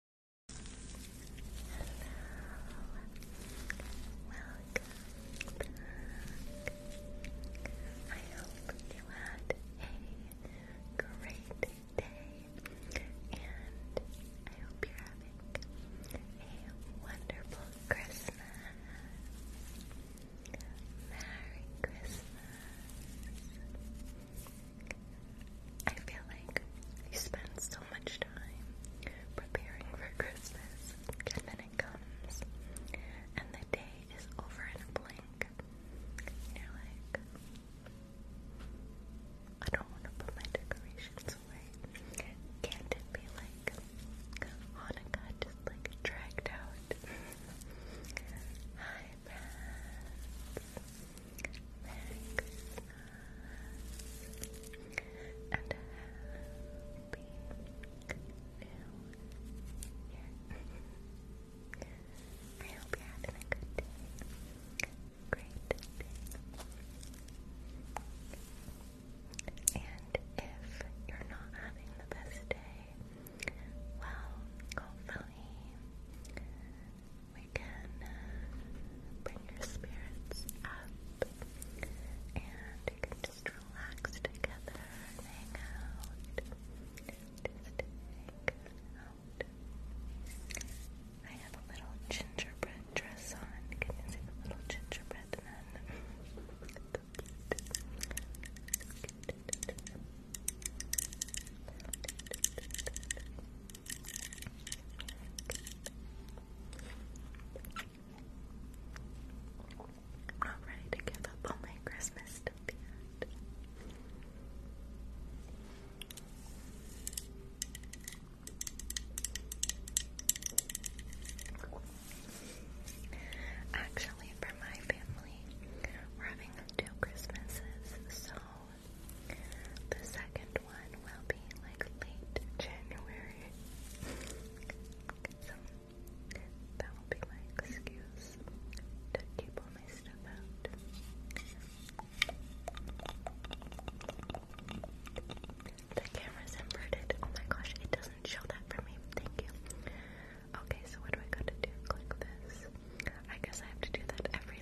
welcome I hope you had a great day, and I hope you're having a wonderful Christmas. Merry Christmas. I feel like you spend so much time preparing for Christmas, and then it comes, and the day is over in a blink. you're like, I don't want to put my decorations away. Can't it be like Hanukkah just like dragged out? Hi, friends. Merry Christmas and a happy new year. I hope you're having a good day. Great day. And if you're not having the best day, well, hopefully we can uh, bring your spirits up and you can just relax together hang out. hang out. I have a little gingerbread dress on. Can you see the little gingerbread nun? I'm not ready to give up on my Christmas stuff yet. Actually, for my family, we're having two Christmases, so the second one will be like late January. that will be my excuse to keep all my stuff out. The camera's inverted. Oh my gosh, it doesn't show that for me. Thank you. Okay, so what do I gotta do? Click this. I guess I have to do that every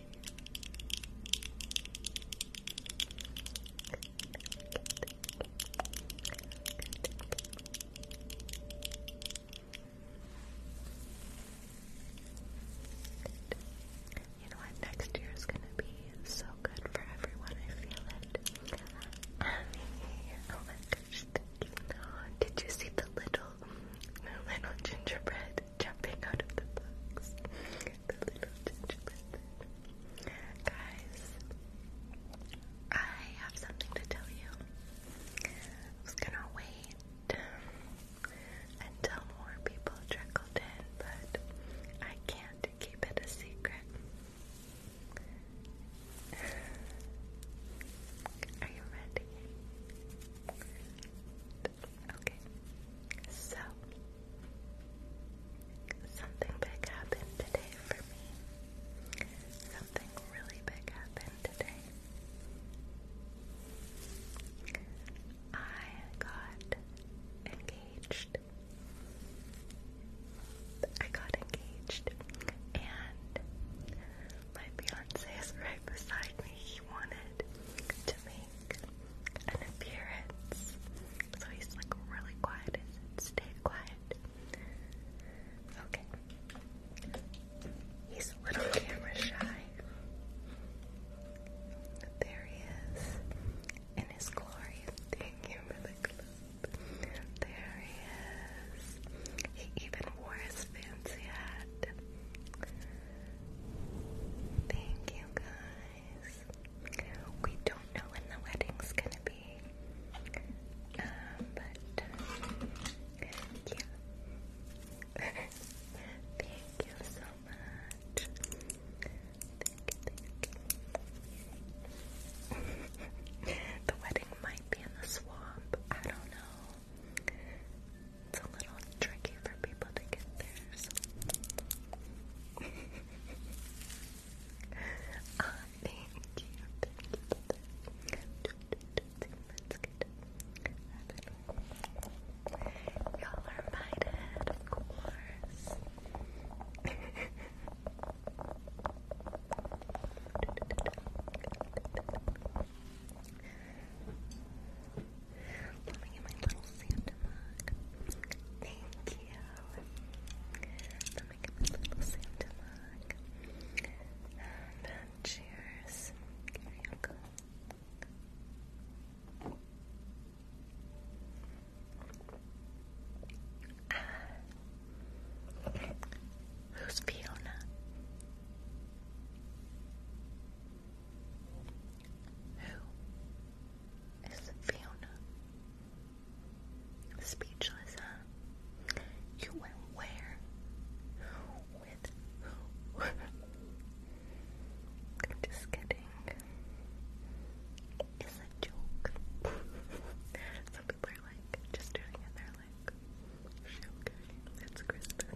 You know what? Next year is gonna be so good for everyone. I feel it. Oh did you see the little, the little gingerbread jumping out of the box. Guys, I have something to tell you. I was gonna wait until more people trickled in, but I can't keep it a secret. Are you ready? Okay. So something big happened today for me. Something really big happened today. I got engaged. I got engaged and my fiance is right beside me. He wanted to make an appearance. So he's like really quiet. stay quiet. Okay. He's a little camera shy. There he is. In his glory. Thank you for clip. There he is. He even wore his fancy hat. Thank you guys. We don't know when the wedding's gonna be. Um, but thank you Thank you, thank you. the wedding might be in the swamp. I don't know. It's a little tricky for people to get theirs. Ah, thank you. Y'all are invited, of course. Let me get my little Santa mug. Thank you. Let me get my little Santa mug. And cheers. Ah. Who's Fiona? Who is Fiona? Speechless, huh? You went where? With who? just kidding. It's a joke. Some people are like just doing it. They're like, okay, it's Christmas.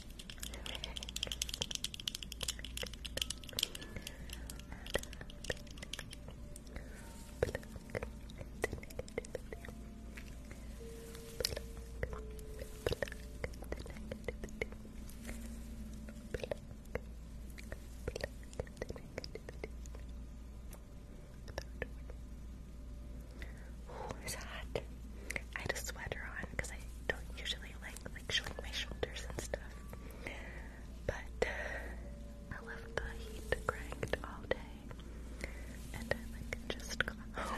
Ooh, it's hot. I had a sweater on because I don't usually like like showing my shoulders and stuff. But uh, I left the heat cranked all day, and I like just got home,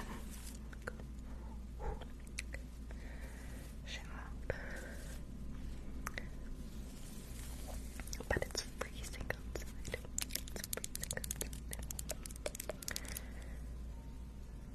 But it's freezing outside. It's freezing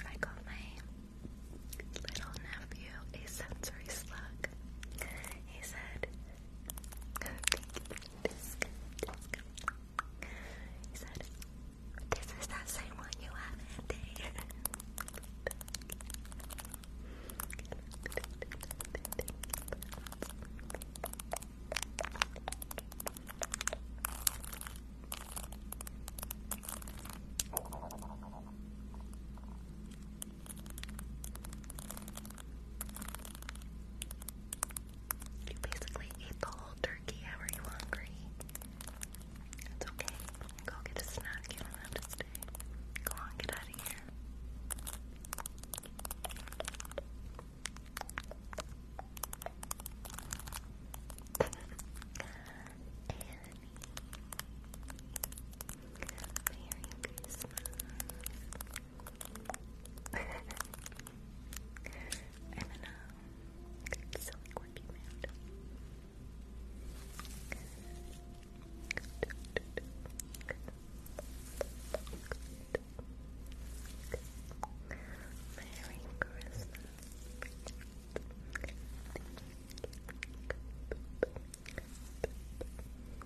I got my little nephew a sensory slug. He said, he said, This is that same one you have, you basically ate the whole turkey. How you hungry? It's okay. Go get a snack. You don't have to stay. Go on, get out of here. Merry Christmas. Merry Christmas. Thank you.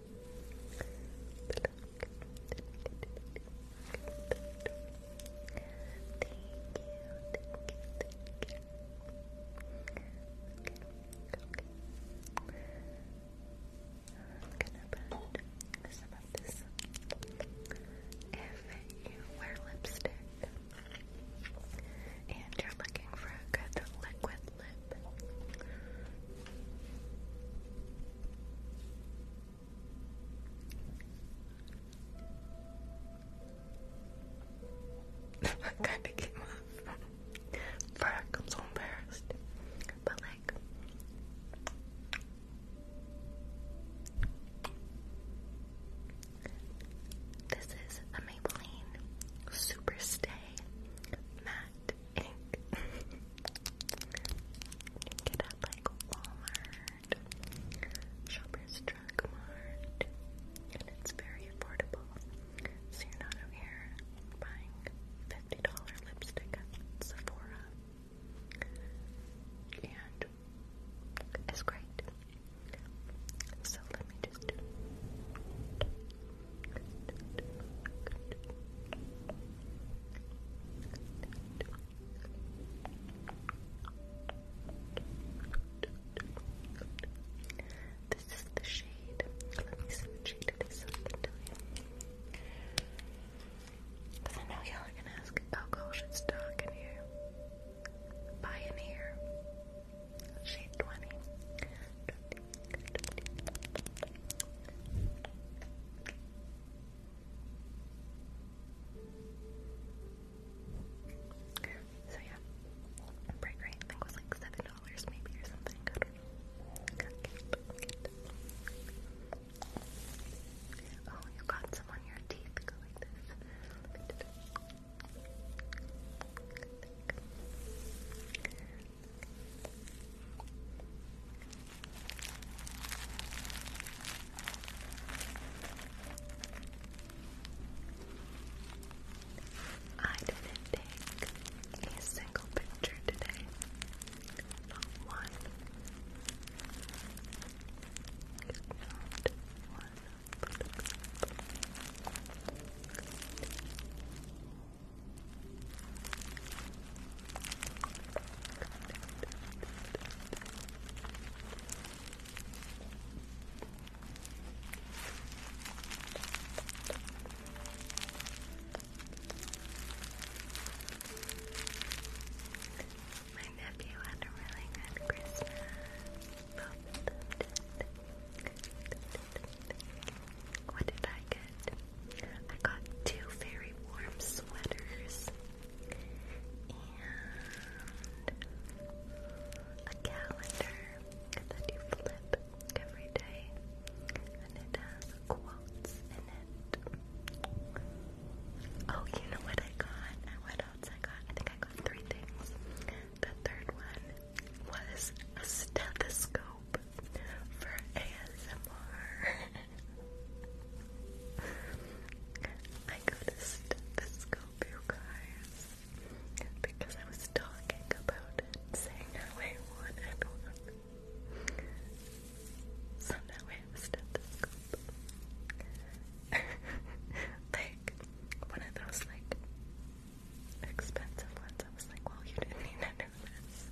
Thank to put some of this if you wear lipstick and you're looking for a good liquid I kind of came off. Fuck, I'm so embarrassed. But like. This is a Maybelline Super Matte ink. you get at like Walmart, Shoppers Drug Mart, it's very affordable. So you're not out here buying $50 lipstick at Sephora. And it's great. So let me just this is the shade. Let me see what shade it is so I know y'all are gonna ask, oh gosh, it's dark in here. Pioneer. Shade 20. So yeah, break rate I think was like seven dollars maybe or something. Oh, you got some on your teeth. Go like this. I didn't take a single picture today. Not one. Not one. My nephew had a really good Christmas. What did I get? I got two very warm sweaters and a calendar that you flip every day, and it has quotes in it. Oh, you know what I got? And what else I got? I think I got three things. The third one was a stethoscope for ASMR. I got a stethoscope, you because I was talking about it, saying how I wanted one. So now I have a stethoscope. like, one of those, like, expensive ones. I was like, well, you didn't need it nervous.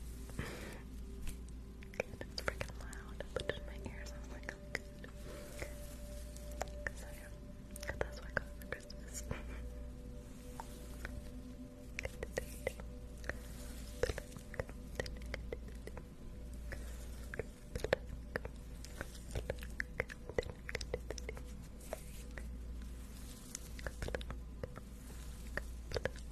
God, it's freaking loud. I put my ears I'm like, oh, good. that's what I got for Christmas.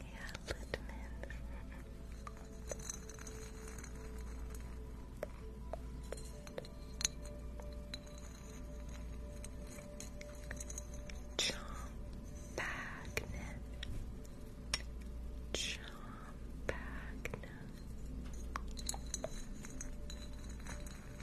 Yeah, Litman. Chomp Bagnet. Chomp Bagnet. John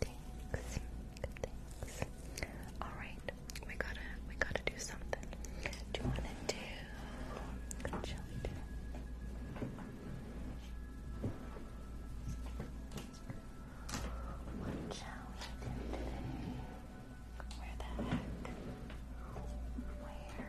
Thanks. Thanks. All right, we gotta we gotta do something. Do you wanna do? What shall What shall today? Where the heck? Where?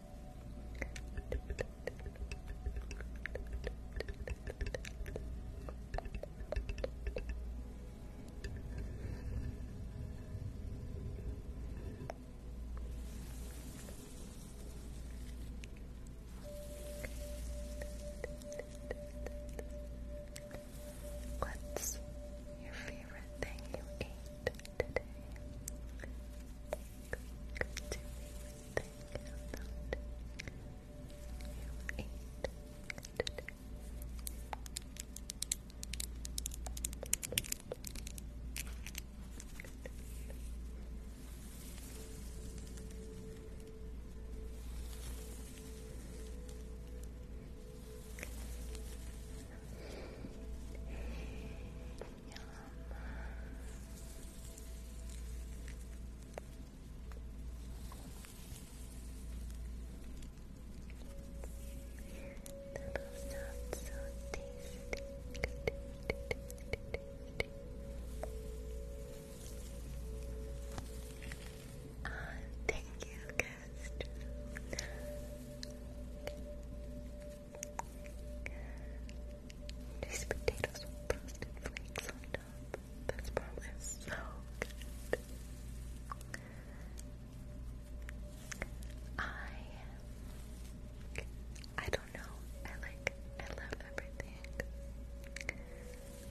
What's your favorite thing you ate today. Thank you for you ate today. That'll sound so tasty. Uh, thank you, guest. These potatoes with toasted flakes on top. This probably so good. I I don't know. I like I love everything.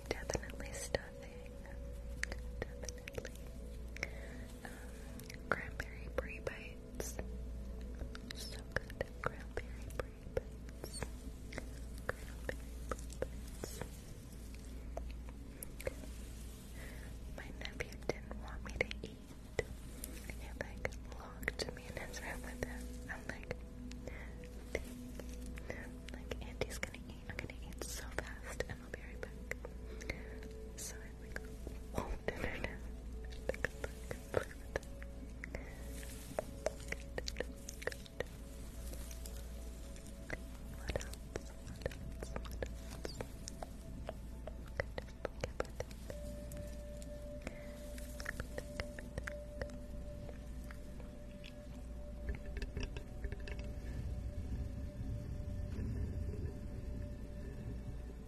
Definitely stuffing. Definitely cranberry brie bites. So good. Cranberry brie bites. Cranberry brie bites. My nephew didn't want me to eat. He like locked me in his room with like, like Auntie's gonna eat. I'm gonna eat so fast, and I'll be right back. So won't internet. Look, look, look at that. Good, good. What else? What else? What else? Good,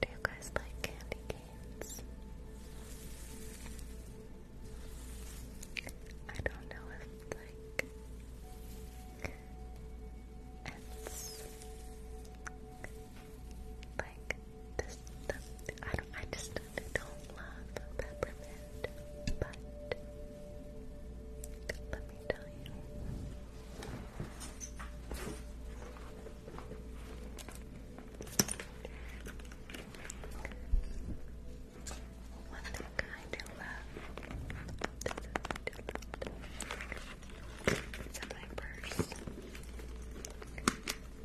Do you guys like candy canes? I don't know if like it's like this I don't I just don't love peppermint but let me tell you what a kind of love. It's in my purse.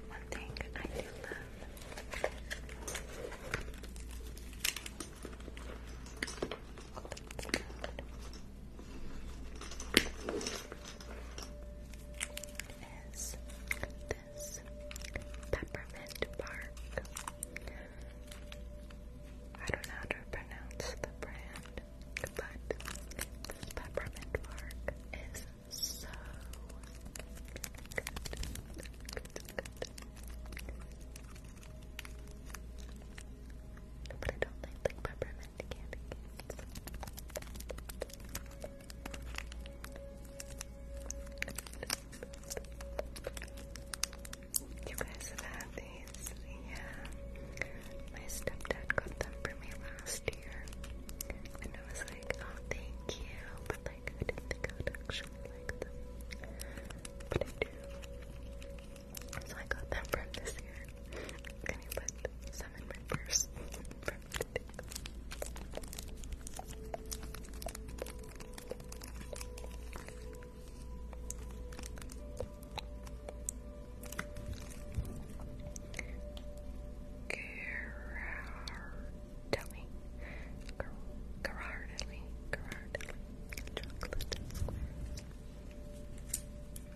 One thing I do love is this peppermint bark. I don't know how to pronounce the brand, but this peppermint bark is so good. But I don't like the peppermint candy You guys have had these? Yeah. My stepdad got them for me last year. And I was like, oh, thank you. But like, I didn't think I would actually like them. But I do. So I got them from this year. I'm gonna put some in my purse from today. Gerardelli, Ger Gerardelli, Gerardelli, chocolate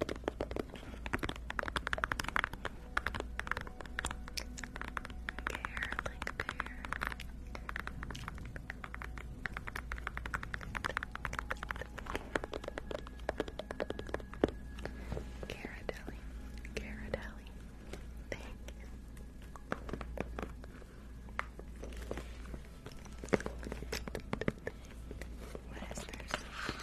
Okay, hair like there. thank you. What is this?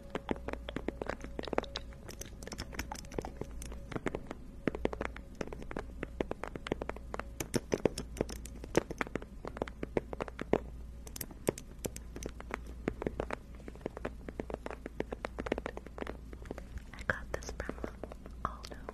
I got this from Aldo.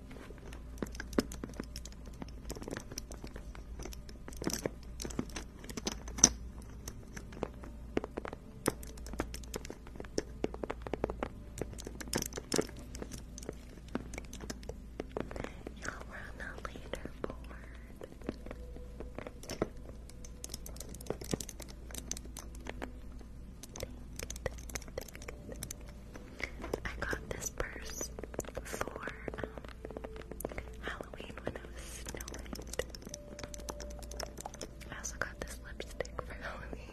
Y'all on the leaderboard. thank you. I got this purse for um, Halloween when I was snowing. I also got this lipstick for Halloween.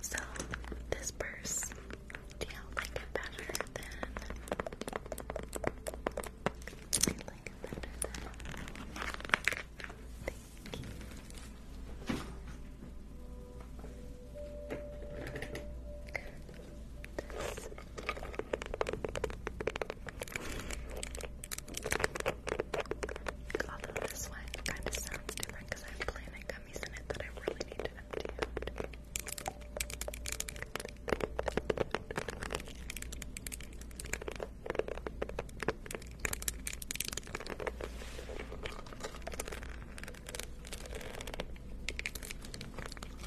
So, this purse, do you like it better than Thank you. Although this one kind of sounds different I have planet gummies in it that I really need to empty out. Oh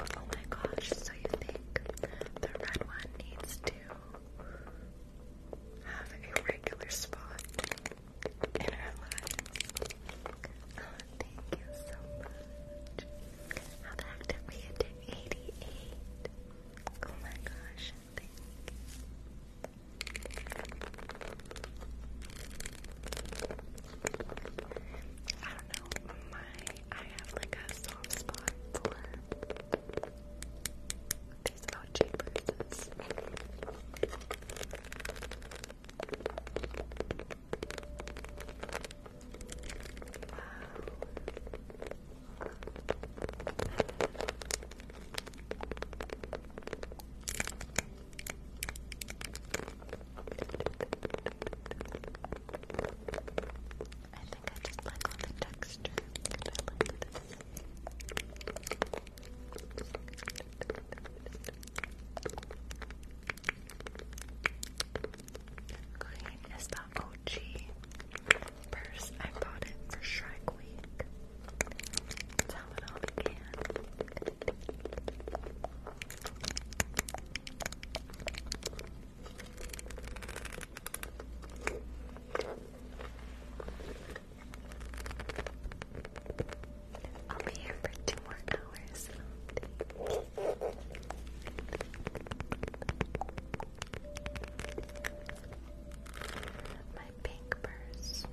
my gosh, so you think the red one needs to have a regular spot in our lives? Oh, thank you so much. How the heck did we get to 88? Oh my gosh, thank you. I don't know, my I have like a soft spot for these mochi I think I just like the texture because this. OG purse. I bought it for Shrek Week. That's it all began. I'll be here for two more hours. My pink purse.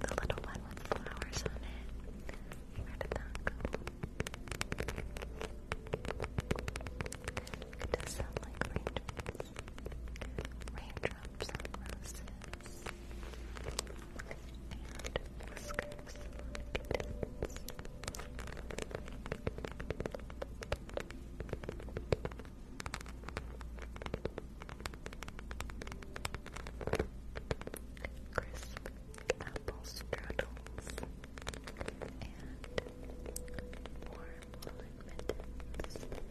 the little one with flowers on it. Where did that go? It does sound like raindrops. Raindrops on roses and apple straddles and warm woolen Thank you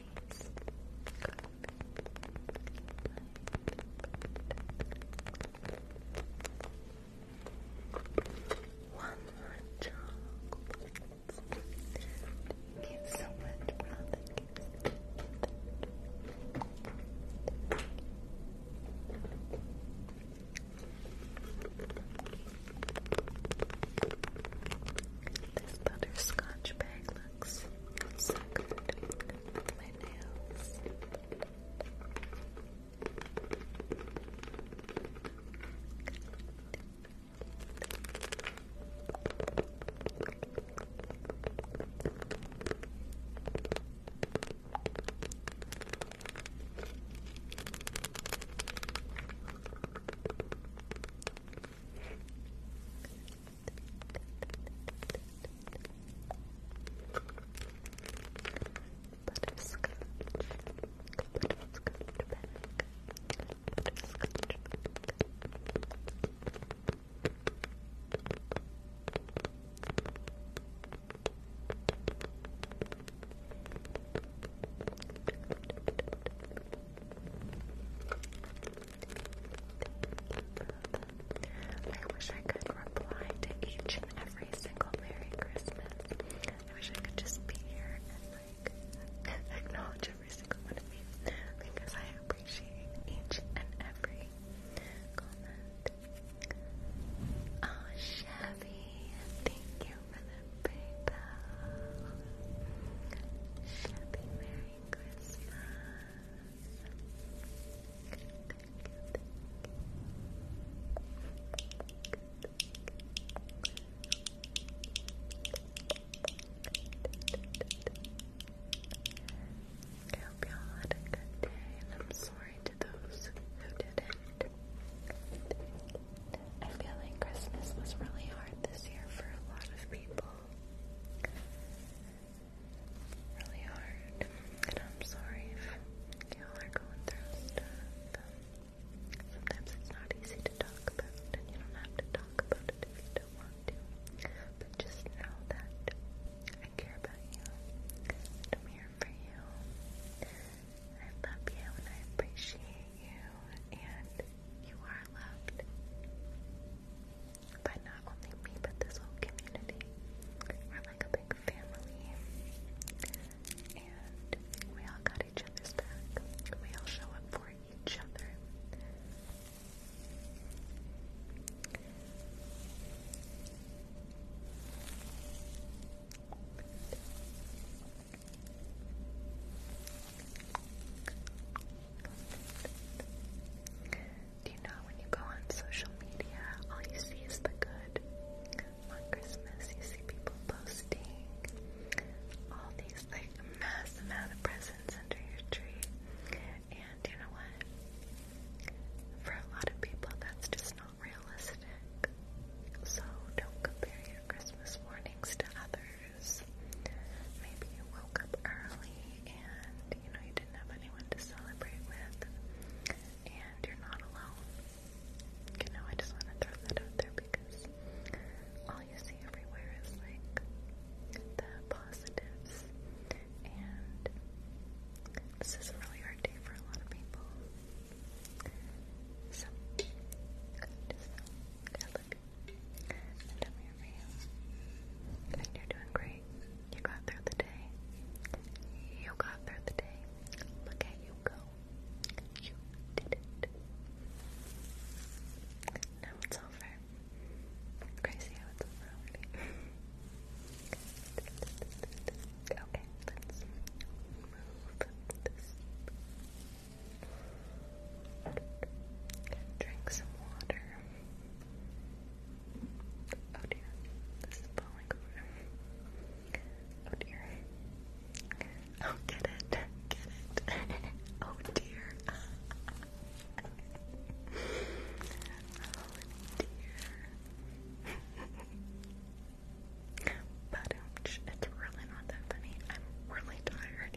these one more chocolate give so much brother gives this butterscotch bag relax. I'm so good with my nails. Butterscotch, butterscotch back, butterscotch back. Butterscotch, I wish I could reply to each and every single Merry Christmas. I wish I could just be here and like acknowledge every single one of you because I appreciate each and every comment. Oh, Chevy, thank you for the PayPal. Chevy, Merry Christmas. I hope y'all had a good day, and I'm sorry to those who didn't. I feel like Christmas was really hard this year for a lot of people really hard. And I'm sorry if y'all are going through stuff. sometimes it's not easy to talk about, and you don't have to talk about it if you don't want to. But just know that I care about you, I'm here for you. I love you, and I appreciate you, and you are loved by not only me but this whole community. We're like a big family, and we all got each other's back. We all show up for each other. Do you know when you go on social media, all you see is the good? On Christmas, you see people posting all these like mass amount of presents under your tree, and you know what? For a lot of people, that's just not realistic. So don't compare your Christmas mornings to others hours. Maybe you woke up early and you know you didn't have anyone to celebrate with, and you're not alone. You know, I just want to throw that out there because all you see everywhere is like the positives, and this is a really hard day for a lot of people. So, and I'm you. are doing great. You got through the day. You got through the day. Look at you go. You did it. Now it's over. Crazy how it's over okay, let's move Drink some water. Oh dear, this is falling over. Oh dear. Oh, get it, get it. Oh dear. Oh dear. But it's really not that funny. I'm really tired.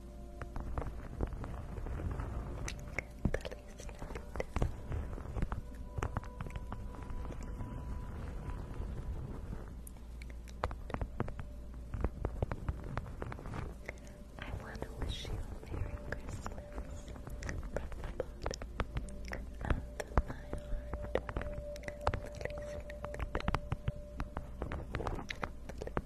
I want to wish you a Merry Christmas from the bottom of my heart. Lily Snoopy.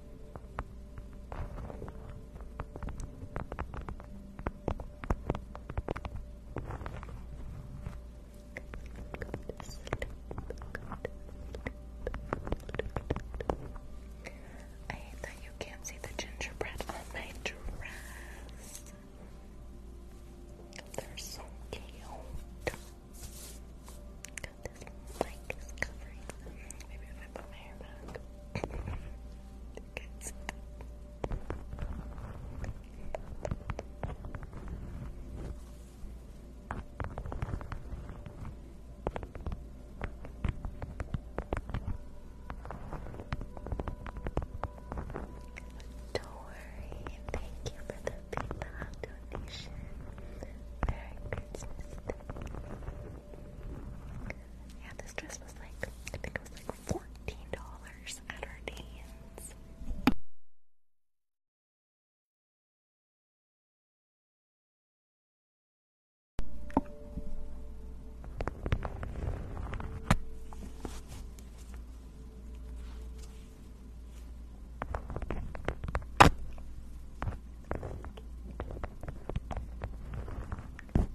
I hate that you can't see the gingerbread on my dress. They're so cute. God, this don't worry, thank you for the PayPal donation. Merry Christmas. Yeah, this dress was like, I think it was like fourteen dollars at our Dan's.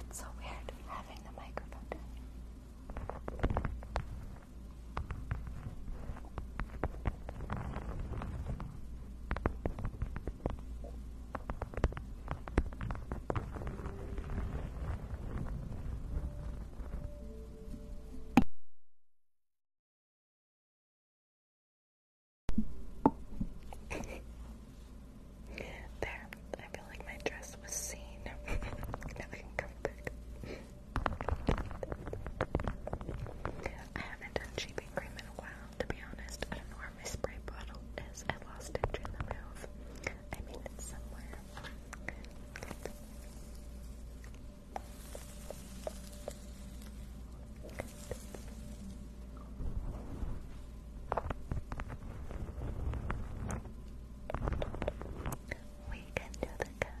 it's so weird having the microphone there, I feel like my dress was seen. now I can come back. I haven't done cheapy cream in a while, to be honest. I don't know where my spray bottle is. I lost it during the move. I mean, it's somewhere. We can do the cat.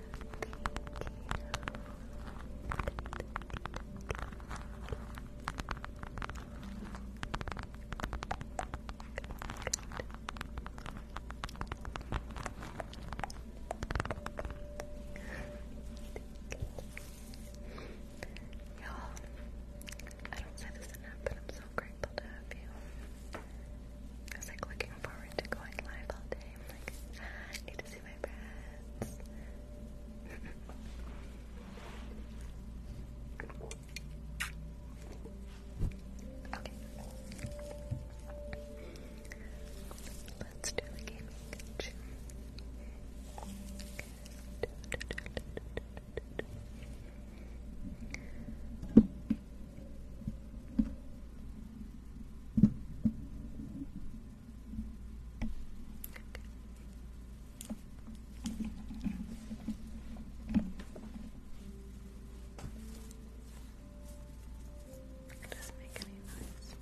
Y'all, I don't say this enough, but I'm so grateful to have you. I was like looking forward to going live all day. like, I see my okay. Let's do the gaming it doesn't make any noise.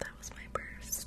That was my purse.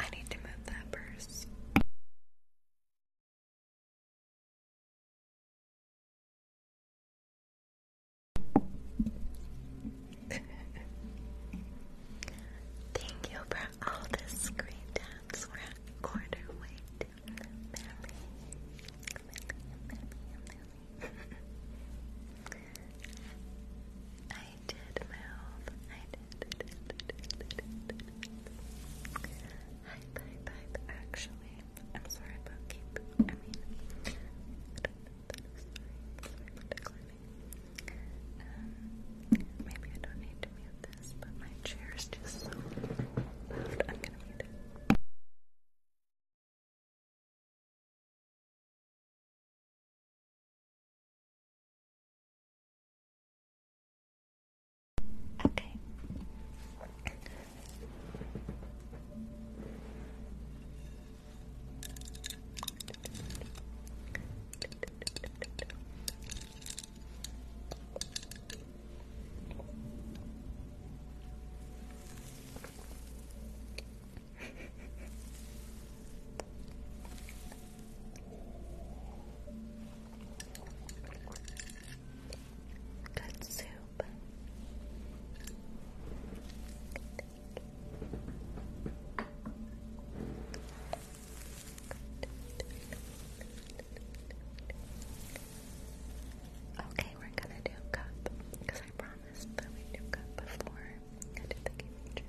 I need to move that purse. Thank you for all the screen taps. We're I did I did. did, did, did, did, I, I, actually, I'm sorry about keep. I mean, um, maybe I don't need to mute this, but my chair is just so I'm gonna mute it. Okay. Katsu Okay, we're gonna do cup because I promised that we do cup before I did the game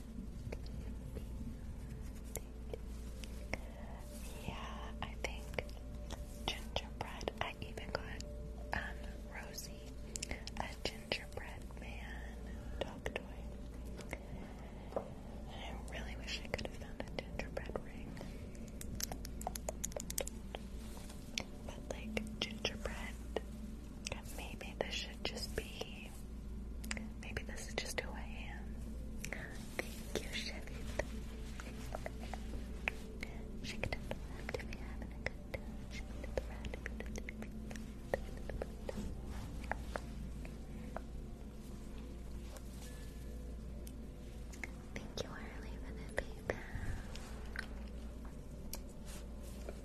Yeah, I think gingerbread. I even got um Rosie, a gingerbread man dog toy. I really wish I could have found a gingerbread ring. But like gingerbread, maybe this should just be maybe. this is just who I am. Thank you, Chevette. Shake it up the left if you're having a good time. Shake it up the right if you're having a good time. Thank you, Harley, for the PayPal.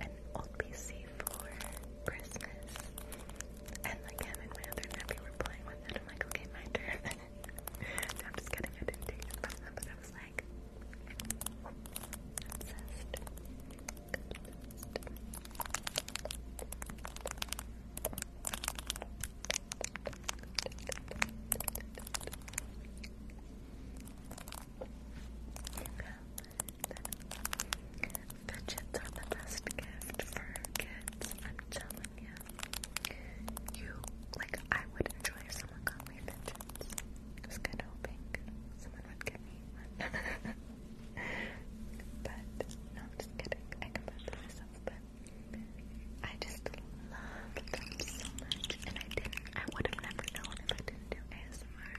an old PC for Christmas. And like and my other nephew were playing with it. i like, okay, my turn. I'm just kidding. I did from them, but I was like, obsessed. Fidgets are the best gift for kids. I'm telling you. like I would enjoy if someone got me fidgets. I was kinda hoping someone would give me one. but no, I'm just kidding. I can buy them myself, but I just love them so much, and I didn't. I would have never known if I didn't do ASMR.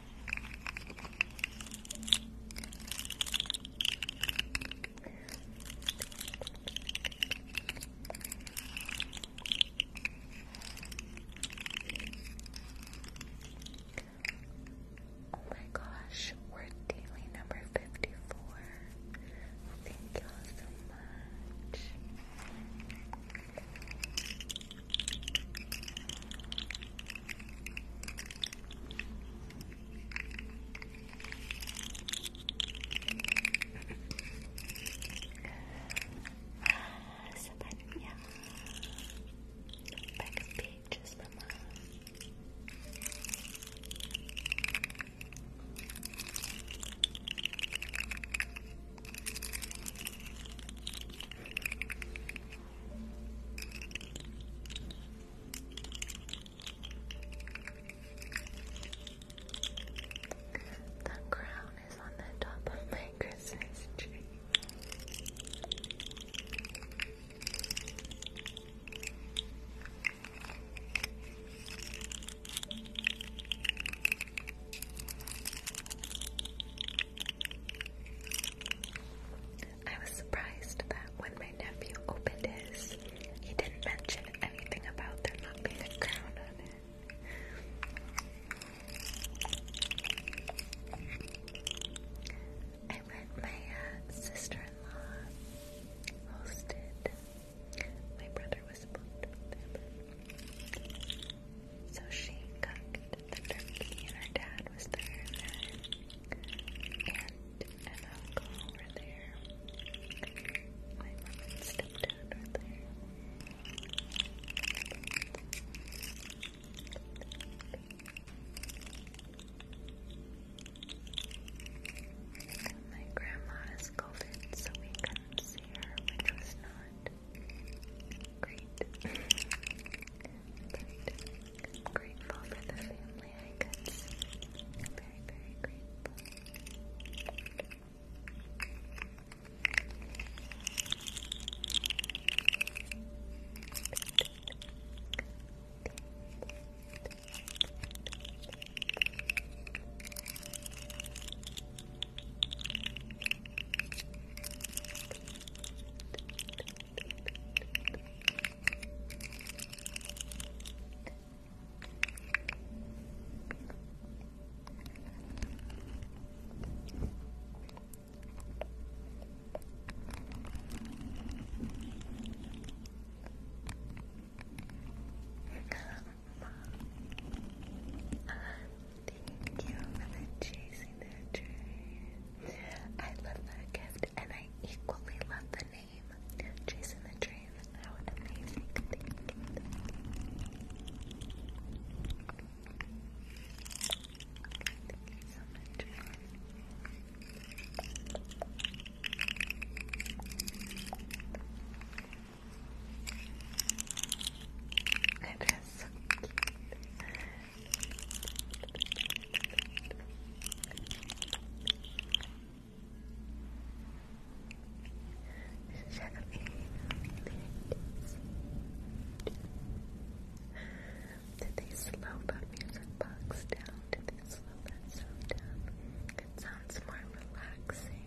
Oh my gosh, we're daily number 54. Thank y'all so much sebenarnya back pages memang the crown is on the top of my Christmas tree. I was surprised that when my nephew opened his, he didn't mention anything about there not being a crown on it. I went, my uh, sister-in-law hosted. My brother was booked with him. So she cooked turkey and her dad was there Aunt and uncle were there. My there. grandma is COVID, so we couldn't see her, which was not great. I'm grateful for the family I could I'm very, very grateful. Thank you for chasing their dreams. I love that gift, and I equally love the name. Jason the Train. How amazing. It is so cute. Did they slow that music box down? Did they slow sound down? It sounds more relaxing.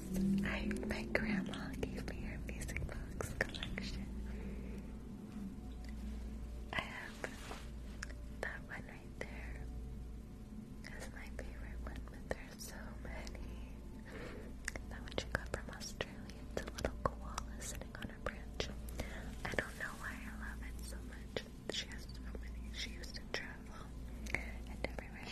box. I, my grandma gave me her music box collection. I have that one right there. That's my favorite one, but there's so many. That one she got from Australia. It's a little koala sitting on a branch. I don't know why I love it so much. She has so many. She used to travel, and everywhere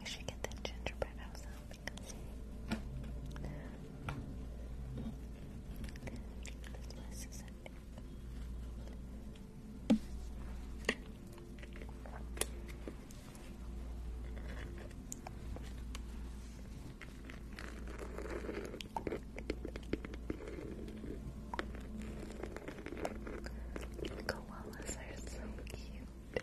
You should get that gingerbread house Koalas are so cute.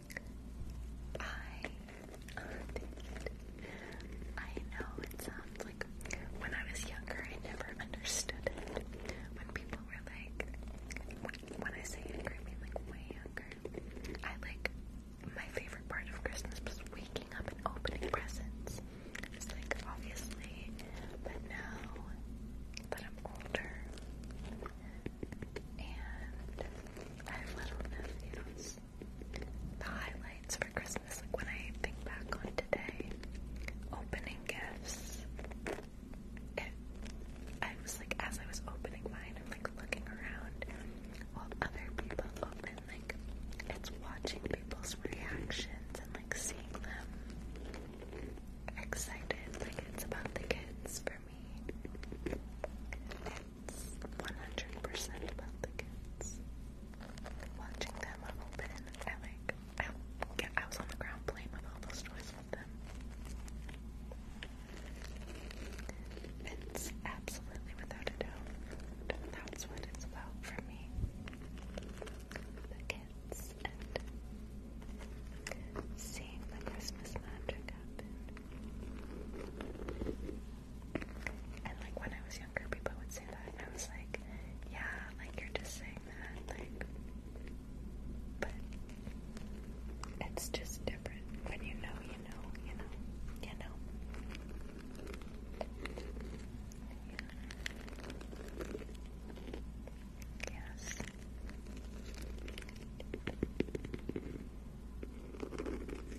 I I know it sounds like when I was younger, I never understood it. When people were like, when I say younger, I mean like way younger. I like my favorite part of Christmas was waking up and opening presents. It's like obviously, but now that I'm older and I have little nephews the highlights for Christmas, like when I think back on today, opening gifts. I was like, as I was opening mine, I'm like looking around while other people open, like it's watching people's reactions and like seeing them excited, like it's about the kids for me. 100% about the kids. Watching them open, I I, get, I was on the ground playing with all those toys with them. It's absolutely without a doubt. That's what it's for me. The kids and seeing the Christmas magic happen. And like when I was younger, people would say that, and I was like, yeah, like you're just saying that, like. But it's just different when you know, you know, you know, you know. Yeah. Yes.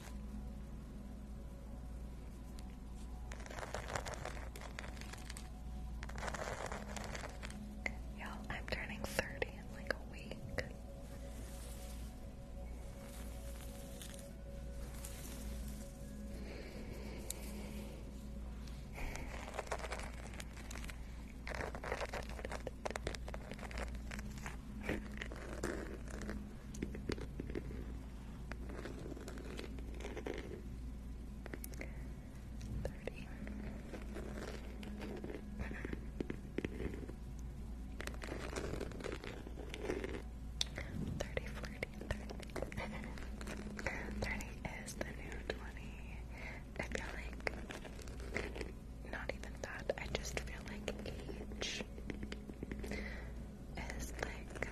Y'all, I'm turning 30 in like a week. Thirty. Thirty, forty, thirty. Thirty is the new twenty. I feel like not even that. I just feel like age is like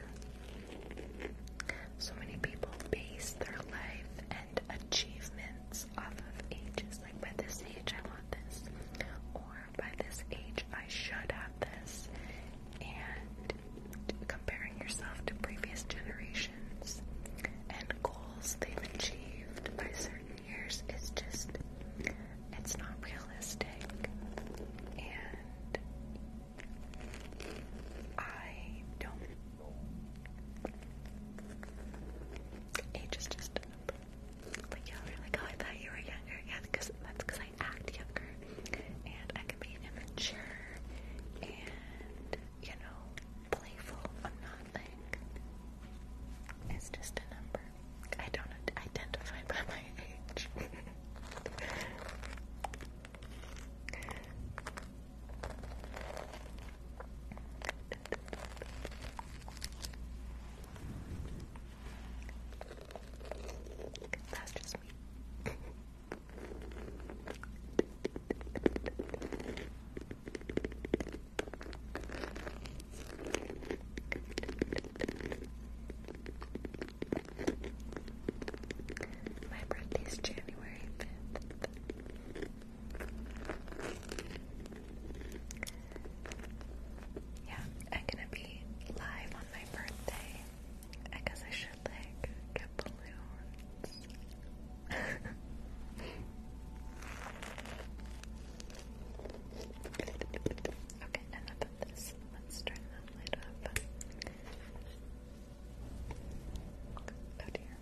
so many people base their life and achievements off of ages. Like by this age, I want this, or by this age, I should have this. And comparing yourself to previous generations and goals they've achieved by certain Yours is just, it's not realistic. And I don't. Age is just Like, you are like, oh, I thought you were younger. Yeah, because that's because I act younger. And I can be immature and, you know, playful. i not like. It's just a number. I don't identify by my age. That's just me. My birthday's January 5th. Yeah, I'm gonna be live on my birthday. I guess I should like get balloons. okay, enough Let's turn that light up. Oh dear.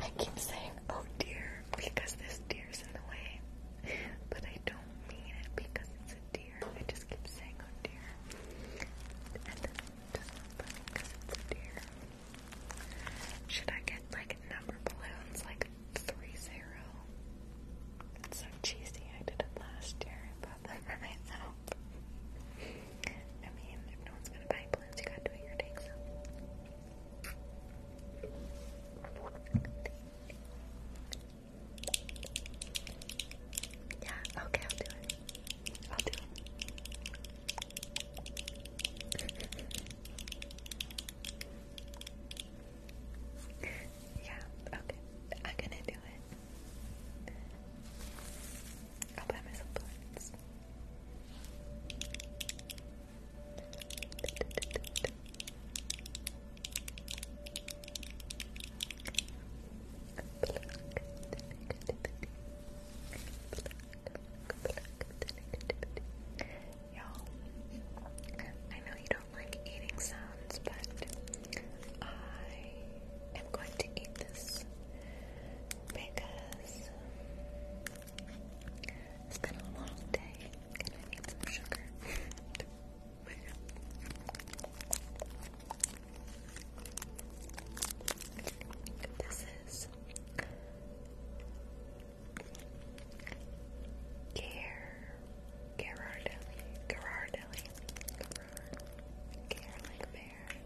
I keep saying oh dear because this deer is in the way. But I don't mean it because it's a deer. I just keep saying oh dear. And then it doesn't because it's a deer. Should I get like number balloons like three zero. It's so cheesy. I did it last year. but bought them for myself. I mean, if no one's gonna buy balloons, you gotta do it your Yeah, okay, I'll do it. I'll do it. Yeah, okay. I'm gonna do it. I'll buy myself plants. Y'all, I know you don't like eating sounds, but I am going to eat this because it's been a long day and I need some sugar. this is Care Gerardelli, Gerardelli, Gerard, Care like bear.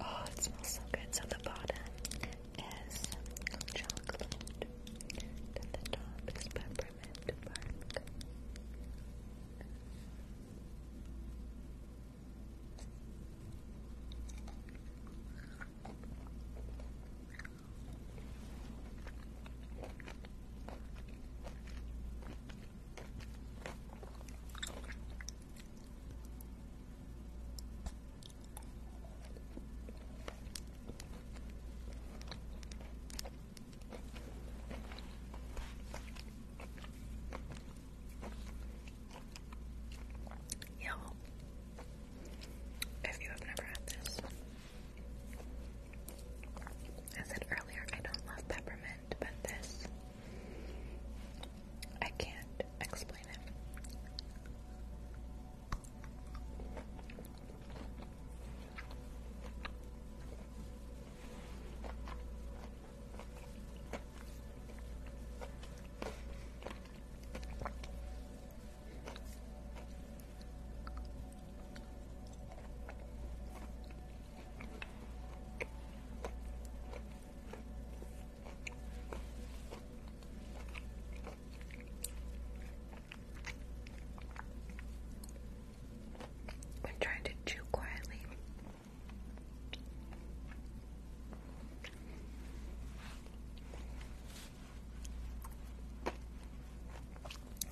Oh, it smells so good. So the bottom is chocolate, and the top is peppermint bark. Yo, if you have never had this, I said earlier I don't love peppermint but this I can't explain it. I'm trying to chew quietly.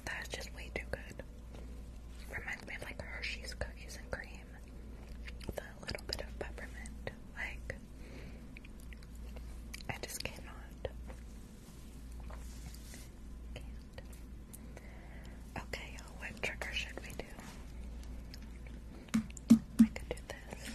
That's just way too good. Reminds me of like Hershey's cookies and cream with a little bit of peppermint. Like, I just cannot. Can't. Okay, what trigger should we do? I could do this.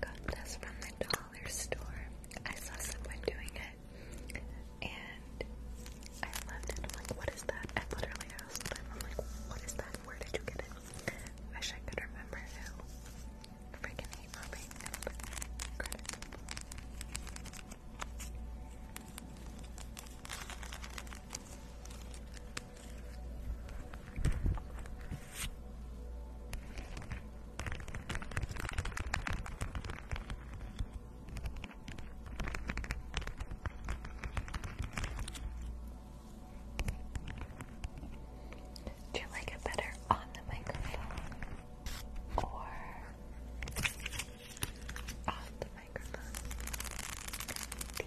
Got this from the dollar store. I saw someone doing it, and I loved it. I'm like, what is that? I literally asked them, I'm like, what is that? Where did you get it? Wish I could remember who. Freaking hate mopping up credit. Do you like it better on the microphone or off the microphone? Thank you.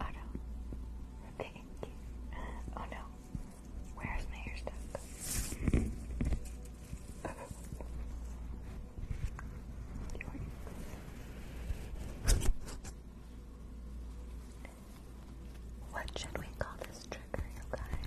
Oh no. Thank you. Oh no. Where's my hair stuck? Yours. What should we call this trigger, you guys?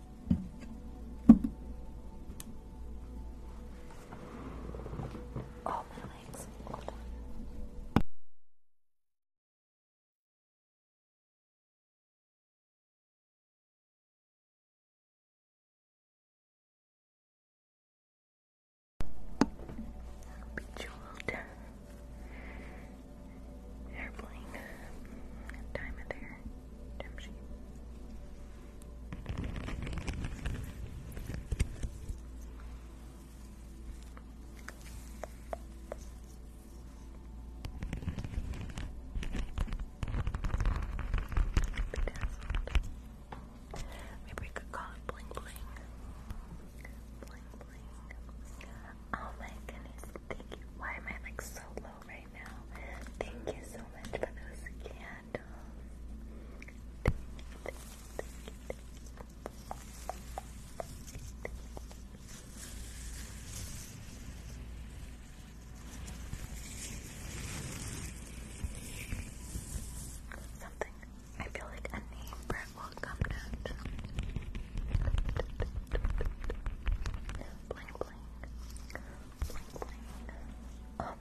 Oh, my legs. Hold on. Bejeweled airplane time of Maybe we could call it bling bling. Oh my goodness, thank you. Why am I like so low right now. Thank you so much for those candles. Something. I feel like a name for will come down. Bling bling. Bling bling. Oh,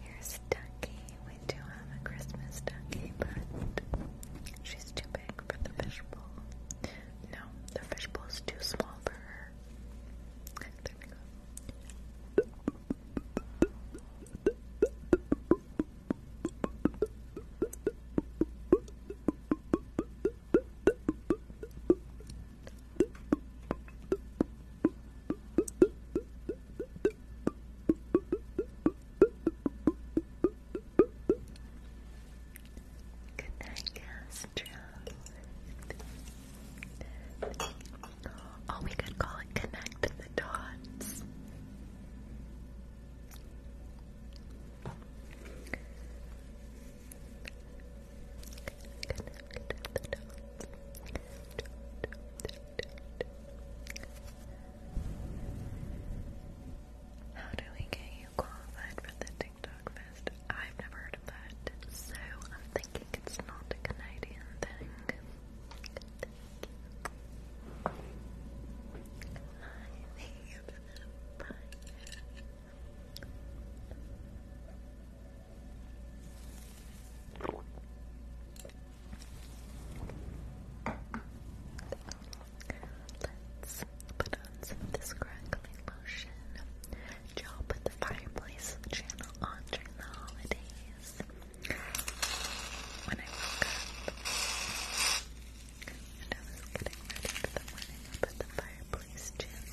Here's Ducky. We do have a Christmas ducky, but she's too big for the fishbowl. No, the fishbowl's too small for her. There we go. Good night, Castro. Oh, we could call it Connect the Dots. Connect how do we get you qualified for the TikTok Fest? I've never heard of that, so I'm thinking it's not a Canadian thing. thank you bye. Let's put on some of lotion. Joe put the fireplace channel on during the holidays. When I woke up and I was getting ready for the morning, I put the fireplace channel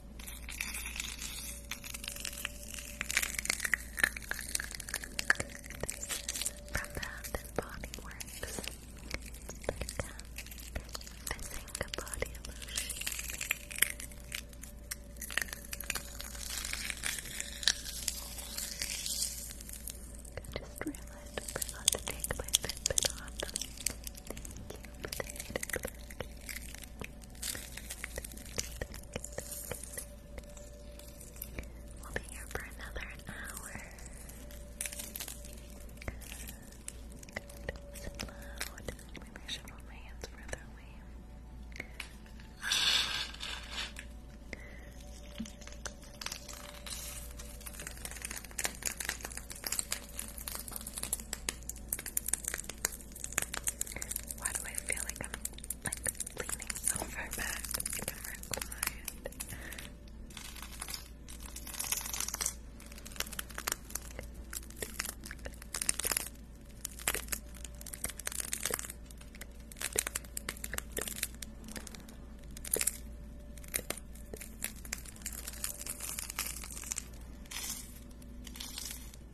from Bath and Body Works. It's Becca. Bazinga Body Lotion. I just realized I forgot to take my Fitbit off. Thank you We'll be here for another hour. Good. Maybe I should hold my hands further away. Why do I feel like I'm like leaning so far back?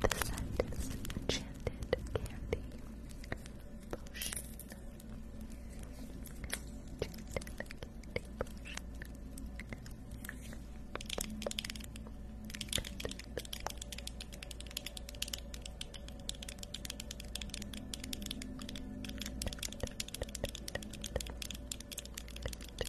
The scientist enchanted candy potion. Enchanted candy potion. Good.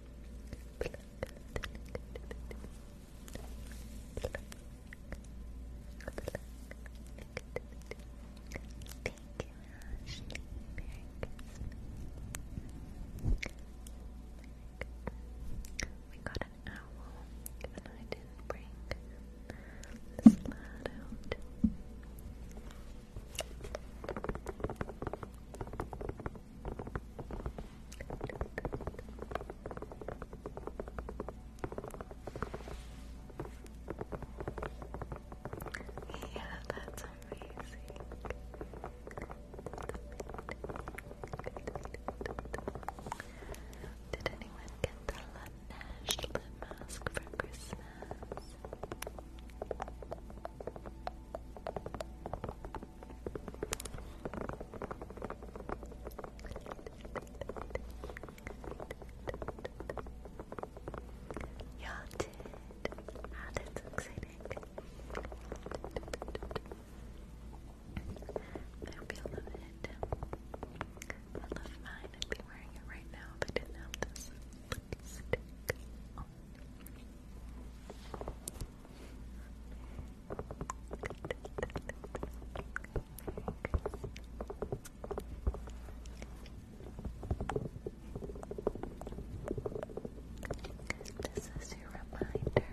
We got an owl, and I didn't bring the slide out. Yeah, that's amazing. Did anyone get the Laneige lip mask for Christmas? Y'all did. Ah, that's I hope you mine. I'd be wearing it right now if I didn't have this lipstick oh, this is your reminder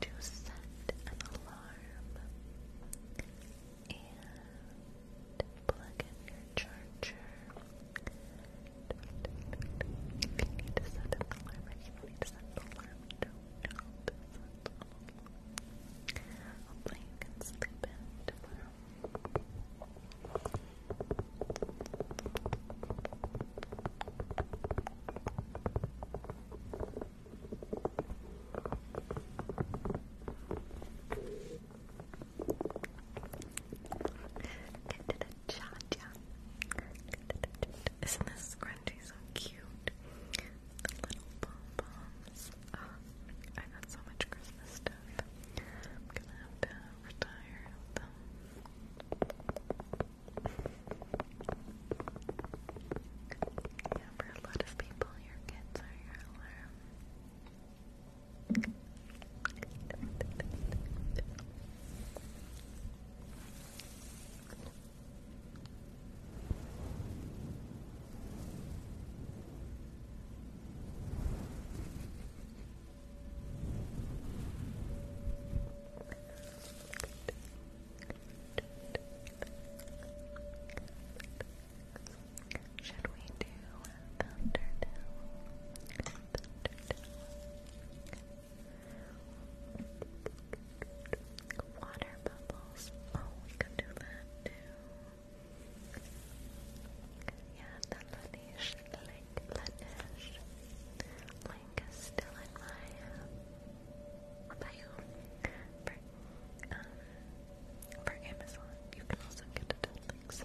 to set an alarm and plug in your charger. If you need to set an alarm, if you need to set an alarm, don't Hopefully you can sleep in tomorrow. Get isn't this scrunchie so cute? little pom poms. Oh, I got so much Christmas stuff. I'm gonna have to retire them. Yeah, for a lot of people, your kids are your alarm. Should we do Thunderdale? Water bubbles. Oh, we could do that too. Yeah, the Lanish Link Lanish. Link is still in my uh, for, um, for Amazon. You can also get it at other places.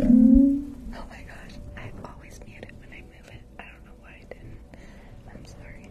Oh my gosh, I always mute when I move it. I don't know why I didn't. I'm sorry.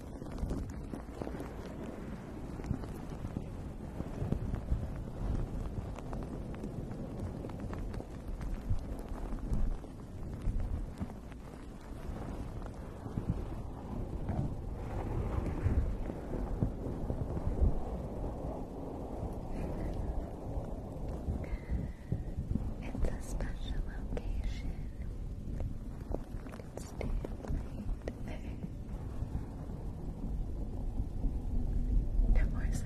It's a special location stand right No more sound.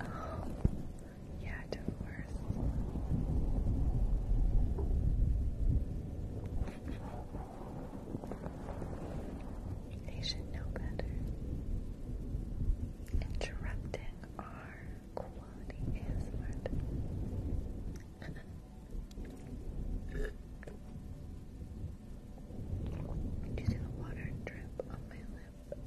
Oh, yeah, divorce. They should know better. Interrupting our quality is smart. you see the water drip on my lip?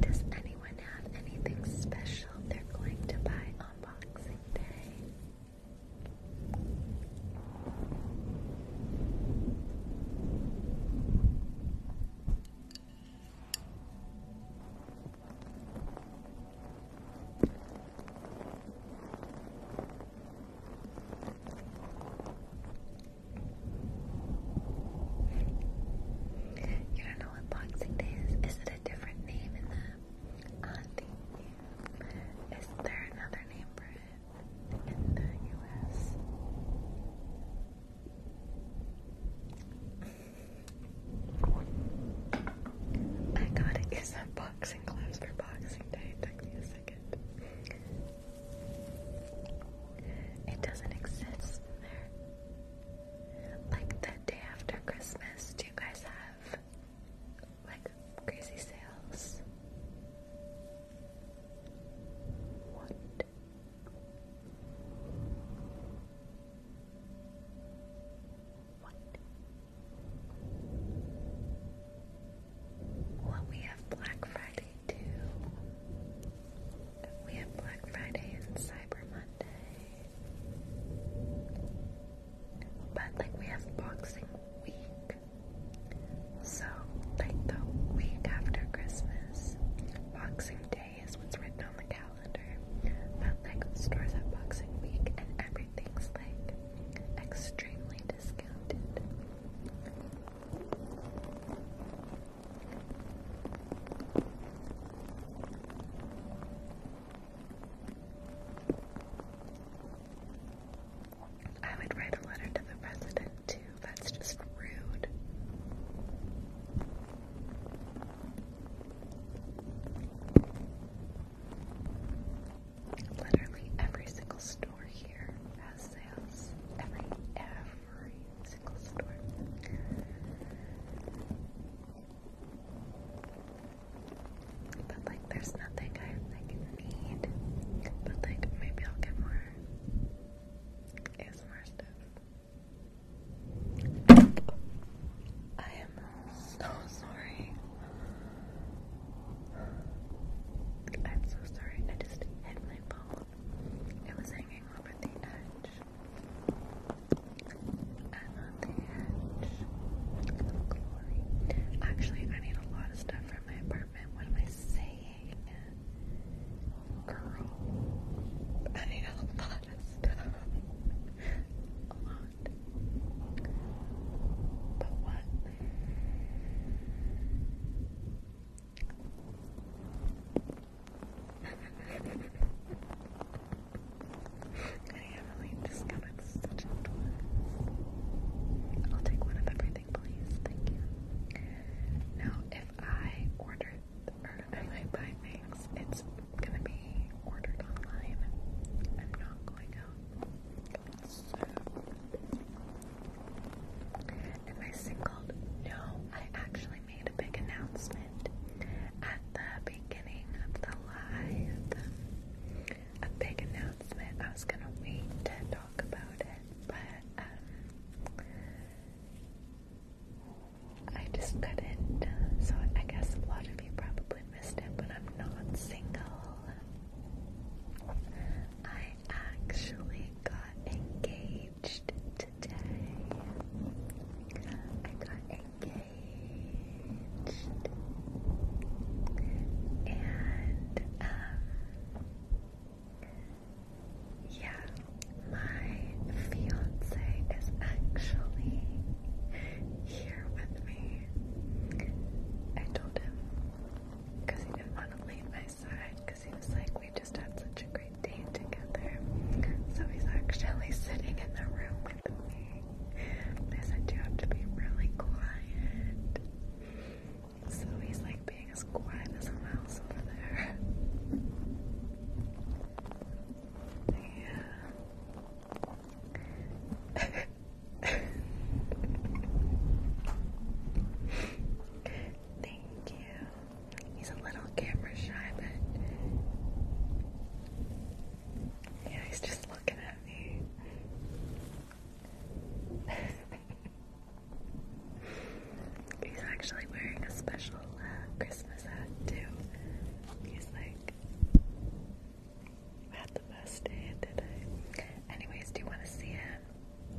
Does anyone have anything special they're going to buy on Boxing Day? You don't know what Boxing Day is? Is it a different name in the ah, Is there another name for it in the US? I gotta use that boxing gloves for Boxing Day. took me a second. It doesn't exist there. Like the day after Christmas, do you guys have like crazy sales? What? What? Well, we have Black Friday too. We have Black Friday and Cyber Monday. But like we have Boxing Week. So, like the week after Christmas, Boxing Day is what's written on the calendar. But like stores have Boxing Week and everything's like extremely discounted. I would write a letter to the president too. That's just rude. Literally every single store here has sales. Every, but like, there's nothing I like need. But like, maybe I'll get more ASMR stuff. I am so sorry. I'm so sorry. I just hit my phone. It was hanging over the edge. And on the edge. Actually, I need a lot of stuff from my apartment. What am I saying? Girl. I need a lot of stuff. a lot. But what? I am really discounted such a I'll take one of everything, please. Thank you. Now, if I order or if I buy things, it's gonna be ordered online. I'm not going out. So, Am I singled? No, I actually made a big announcement at the beginning of the live. A big announcement. I was gonna wait to talk about it, but um, I just couldn't. So I guess a lot of you probably missed it, but I'm not single. I actually got engaged today. I got engaged. And, um, yeah, my fiance is actually here with me. I told him because he didn't want to leave my side because he was like, we just had such a great day together. So he's actually sitting in the room with me. I said, you have to be really quiet. So he's like being as quiet as a mouse over there. Yeah. Thank you. He's a little camera shy, but yeah, he's just looking at me. he's actually wearing a special uh, Christmas hat too. He's like, I had the best day, did Anyways, do you want to see him?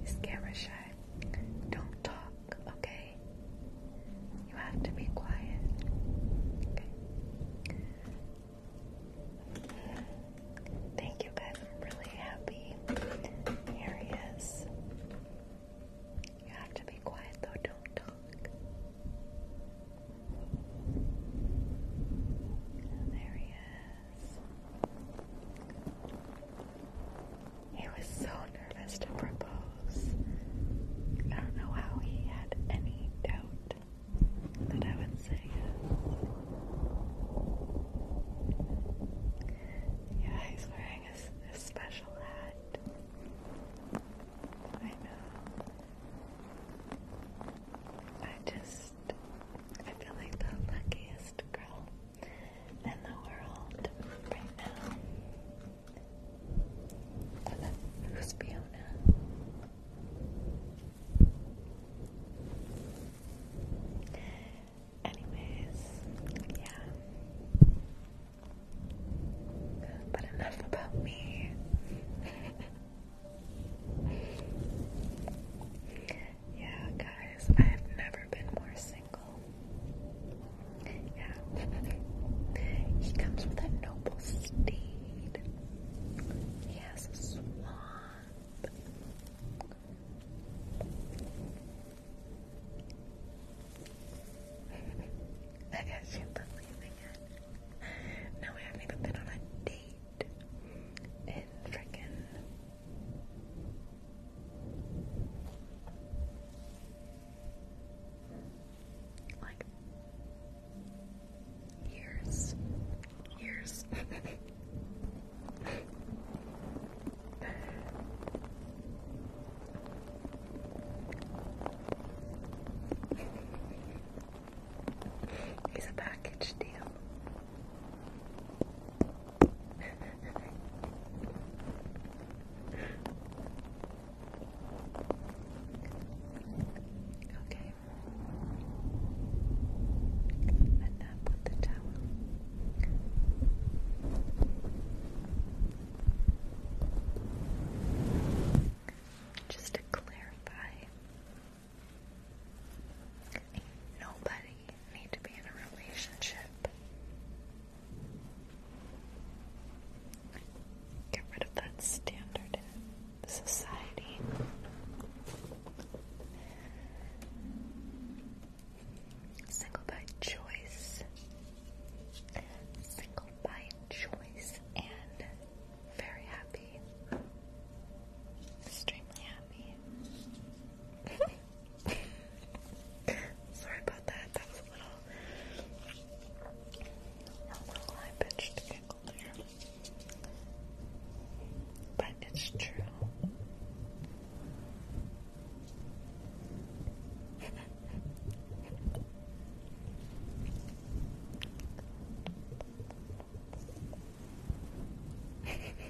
He's camera Don't talk, okay? You have to be quiet. Thank you guys. I'm really happy. Here he is. You have to be quiet though, don't talk. there he is. He was so nervous to propose. I don't know how he had any doubt that I would say yes. Yeah, he's wearing a, special hat. I know. I just, I feel like the luckiest girl and the world right now. who's Fiona? Anyways, yeah. But enough about me. yeah, guys, I have never been more yeah. he comes with a noble steed. He has a swamp. I can't believe it. No, I haven't even been on a date in freaking like years, years. He's a package deal okay. Enough with the towel. Just to clarify, nobody need to be in a relationship. Get rid of that standard society. Single by choice. Single by choice and very happy. Extremely happy. Sorry about that. That was a little, a little high pitched But it's true.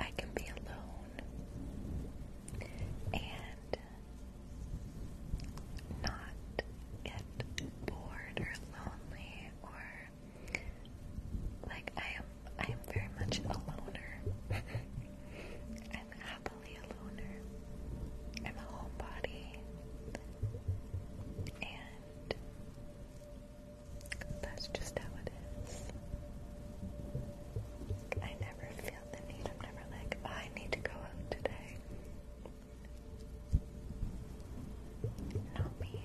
I can be alone and not get bored or lonely or like I am I am very much a loner. I'm happily a loner. I'm a homebody and that's just how it is. I never feel the need. I'm never like, I need to go out today. Not me.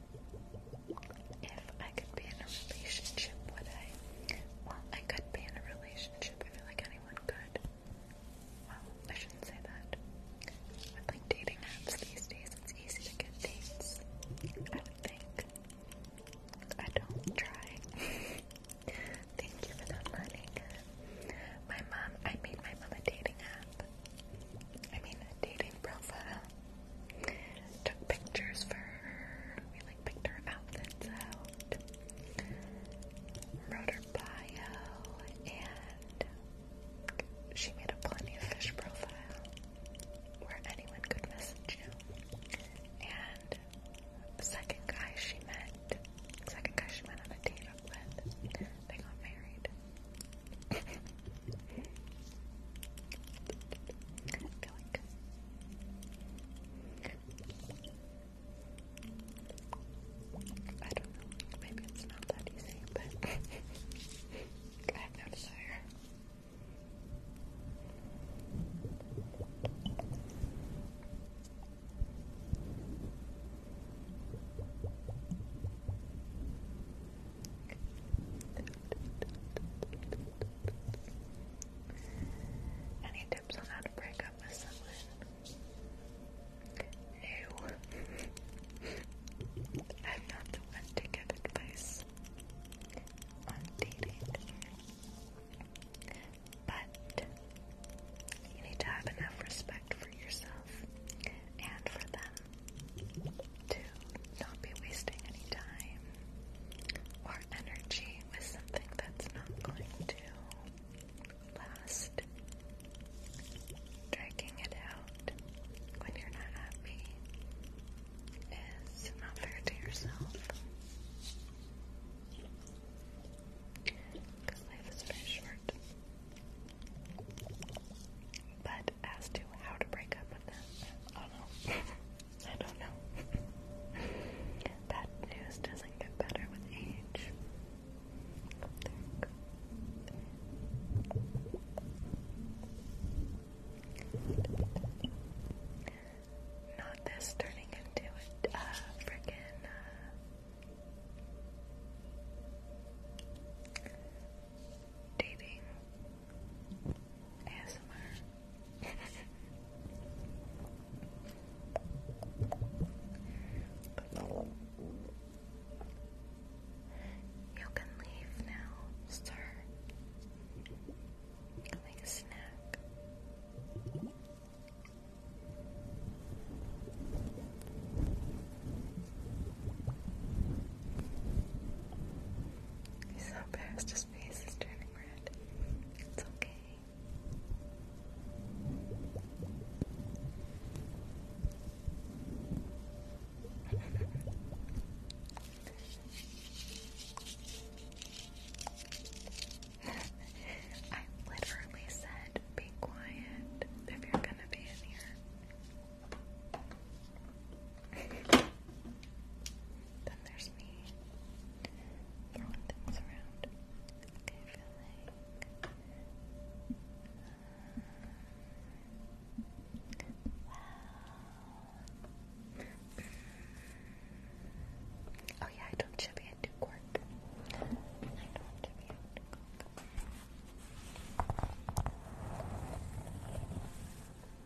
If I could be in a relationship, would I? Well, I could be in a relationship. I feel like anyone could. Well, I shouldn't say that. With like dating apps these days, it's easy to get dates. I don't think. I don't try. Thank you for that money. My mom, I made my mom a dating app. I mean, a dating profile. Took pictures for her. We like picked her outfits out. Wrote her bio and she made a plenty of fish profile where anyone could message you. And the second guy she met, second guy she went on a date with, they got married. like I don't know, maybe it's not that easy, but I have no any tips on how to break up with someone? No. I'm not the one to give advice on dating. But you need to have enough respect for yourself and for them to not be wasting any time or energy with something that's not going to last. Dragging it out when you're not happy is not fair to yourself. Because life is very short. But as to how to break up with them. I don't know. I news doesn't get better with age. Not this turning into a uh, uh dating ASMR. You can leave now, sir. make a snack. He's so embarrassed, face is turning red. It's okay. I literally said, be quiet if you're gonna be in here then there's me throwing things around. Okay, I wow. Mm. Oh yeah, I don't chubby, I do quirk.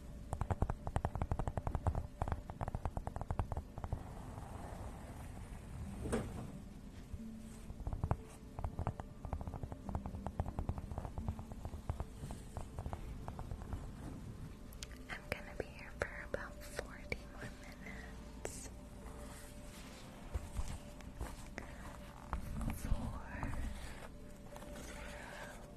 I'm going to be here for about 40 more minutes. Four, zero,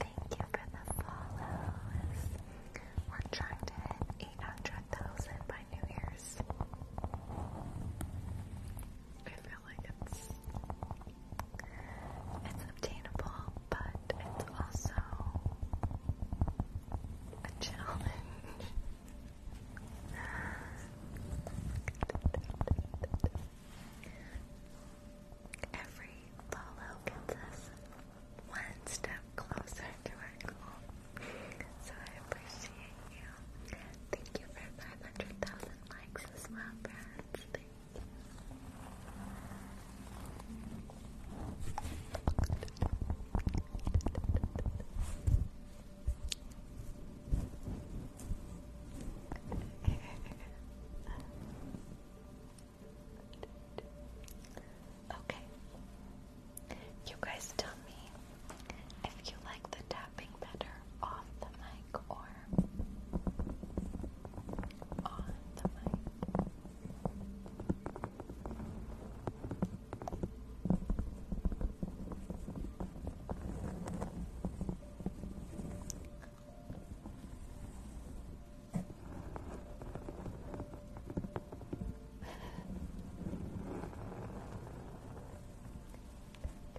Thank you for the follows. We're trying to hit 800,000 by New Year's. I feel like it's it's obtainable, but it's also a challenge. Every follow gets us one step closer to our goal. So I appreciate you Thank you for 500,000 likes as well, friends. Thank you. okay. You guys tell me if you like the tapping better off the mic or on the mic.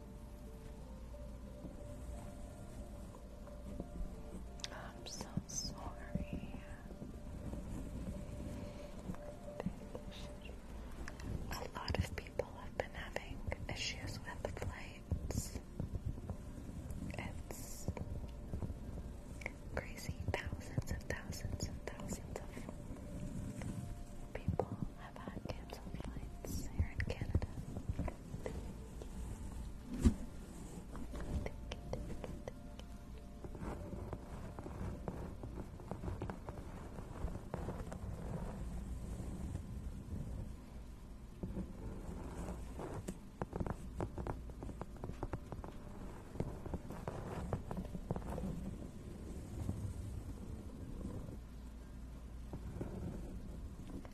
I'm so sorry. A lot of people have been having issues with flights. It's crazy. Thousands and thousands and thousands of people I've had cancelled flights here in Canada. thank you.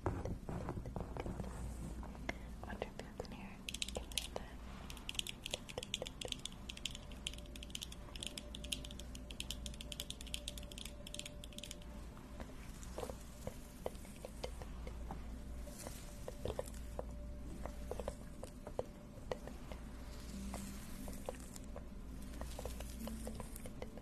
I wonder if that's in here. Give me that. Thank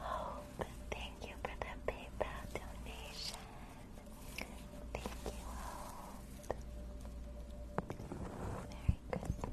Oh, thank you for the PayPal donation. Thank you, Hope. Merry Christmas.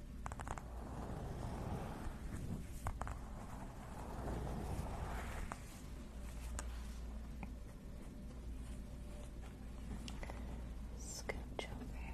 Scooch over.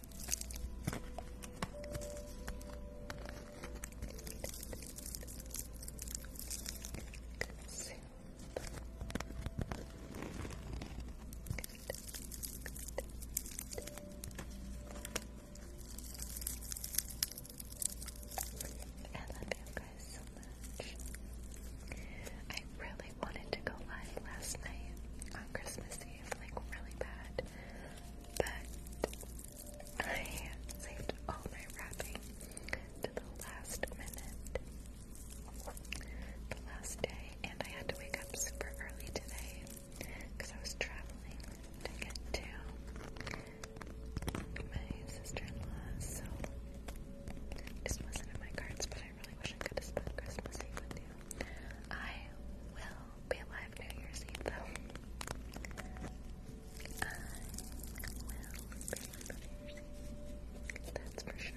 Soup. I love you guys so much. I really wanted to go live last night on Christmas Eve, like really bad but I saved all my wrapping to the last minute, the last day, and I had to wake up super early today because I was traveling to get to my sister-in-law, so this wasn't in my cards, but I really wish I could have spent Christmas Eve with you. I will be alive New Year's Eve though. I will be alive New Year's Eve. That's for sure.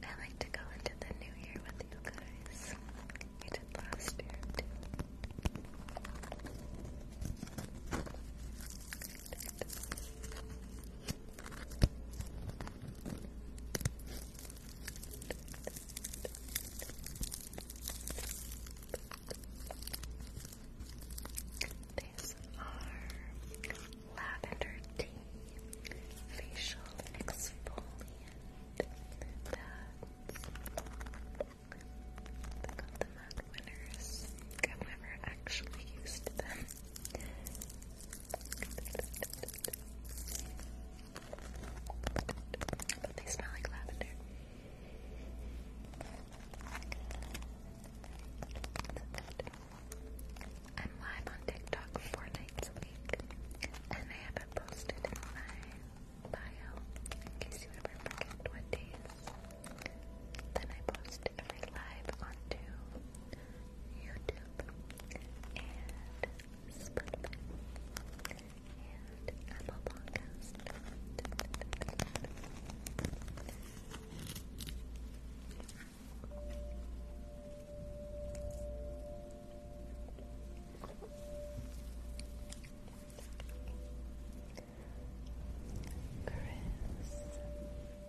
I like to go into the new year with you guys. You did last year these are lavender tea facial exfoliant. That's Winners. I've never actually used them they smell like lavender. I'm live on TikTok four nights a week, and I haven't posted my bio in case you ever forget what days. Then I post every live on two YouTube, and Spotify, and Apple Podcast. Chris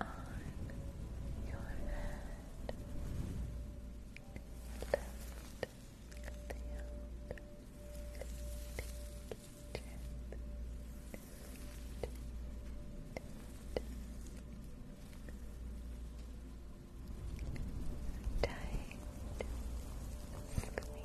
on your head. Lift the Tight squeeze.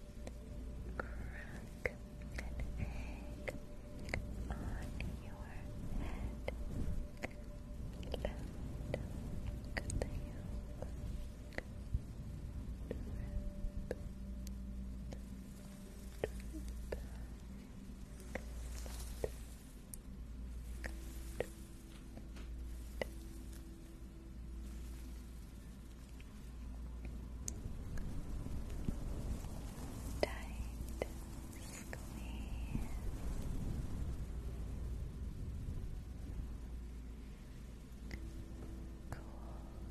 crack an egg on your head. Loud, cut the Tight squeeze. breeze. Down.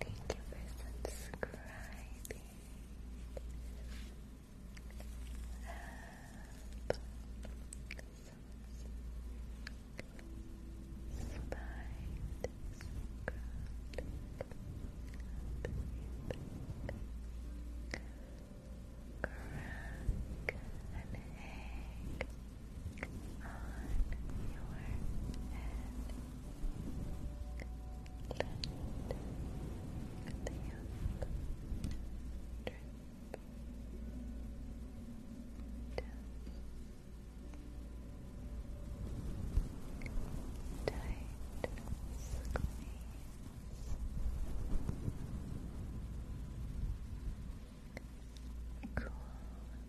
Thank you for subscribing. Up. Slide. Crack an egg. Tight squeeze. Tight squeeze cool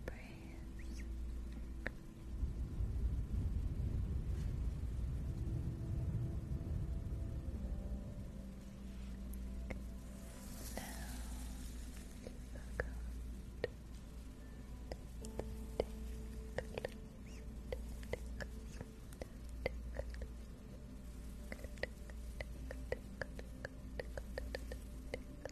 breeze. Now, look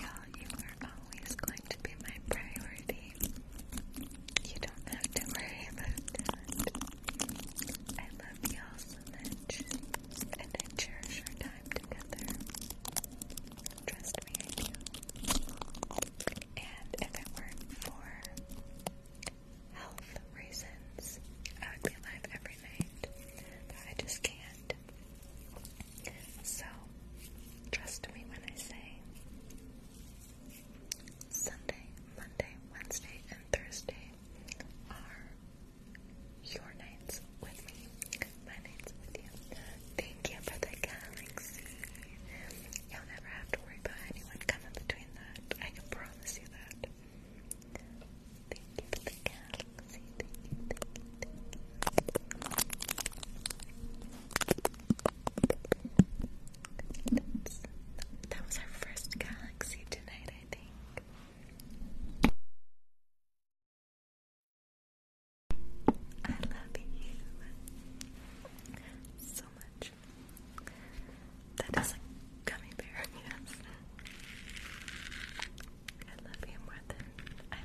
Yeah, you are always going to be my priority. You don't have to worry I love you all so much, and I cherish our time together. Trust me, I do. And if it weren't for health reasons, I would be alive every night. But I just can't. So, trust me when I say Sunday, Monday, Wednesday, and Thursday are your nights with me, my nights with you. Thank you for the galaxy. You'll never have to worry about anyone coming between that. I can promise you that. Thank you for the that was our first galaxy tonight, I think. I love you so much. That is a gummy bear, yes. I love you more than I you.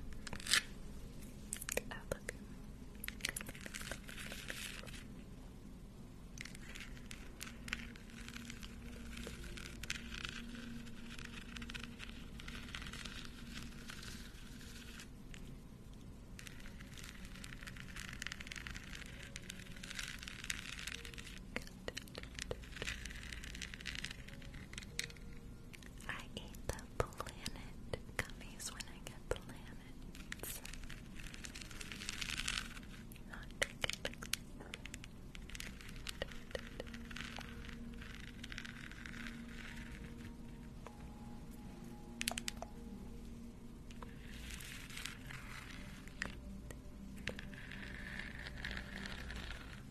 I eat the planet gummies when I get planets. Not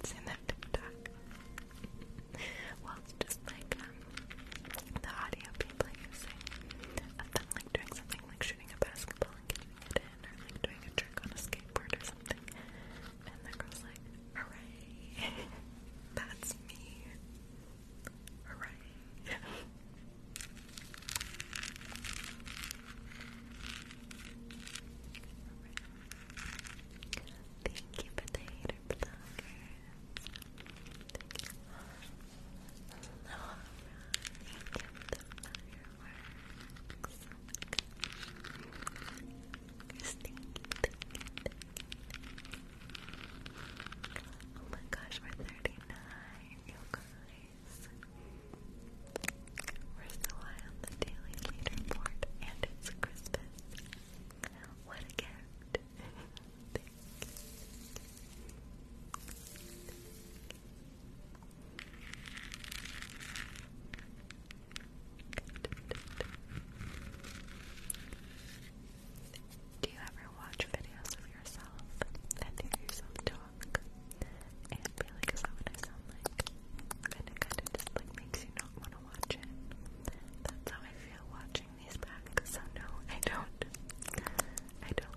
It's in that TikTok. well, it's just like um, the audio people using of them like doing something like shooting a basketball and getting it in, or like doing a trick on a skateboard or something. And the girl's like, hooray! That's me! Hooray! Thank you, potato pluggers. thank you for the fireworks. Christine, thank you. Oh my gosh, we're 39, you guys. We're still on the daily leaderboard, and it's Christmas. What a gift! Thank you. Do you ever watch videos of yourself and hear yourself talk? and is that what I sound like? And it kind of just like makes you not want to watch it. That's how I feel watching these back. So no, I don't. I don't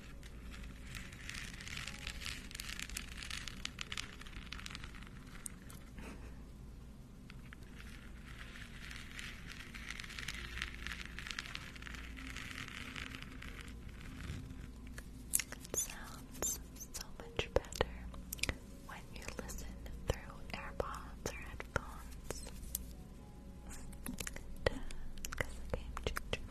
It sounds so much better when you listen through AirPods or headphones. Because the game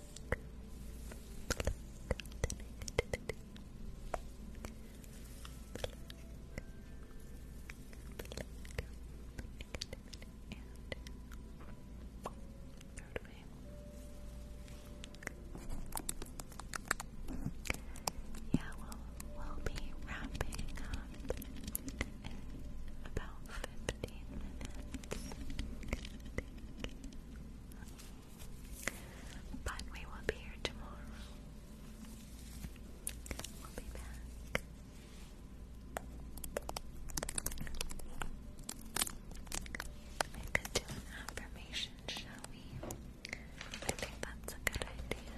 Yeah, we'll, we'll be wrapping up in about 15 minutes. But we will be here tomorrow. We'll be back. We could do an affirmation, shall we? I think that's a good idea.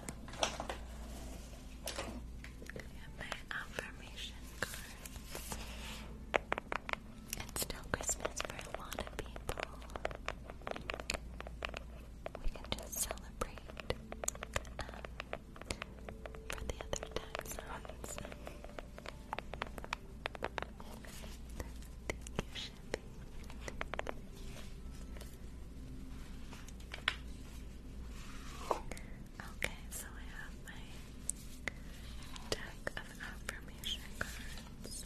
I my affirmation card. It's still Christmas for a lot of people. We can just celebrate um, for the other time Thank you, Shippy. Okay, so I have my deck of affirmation cards.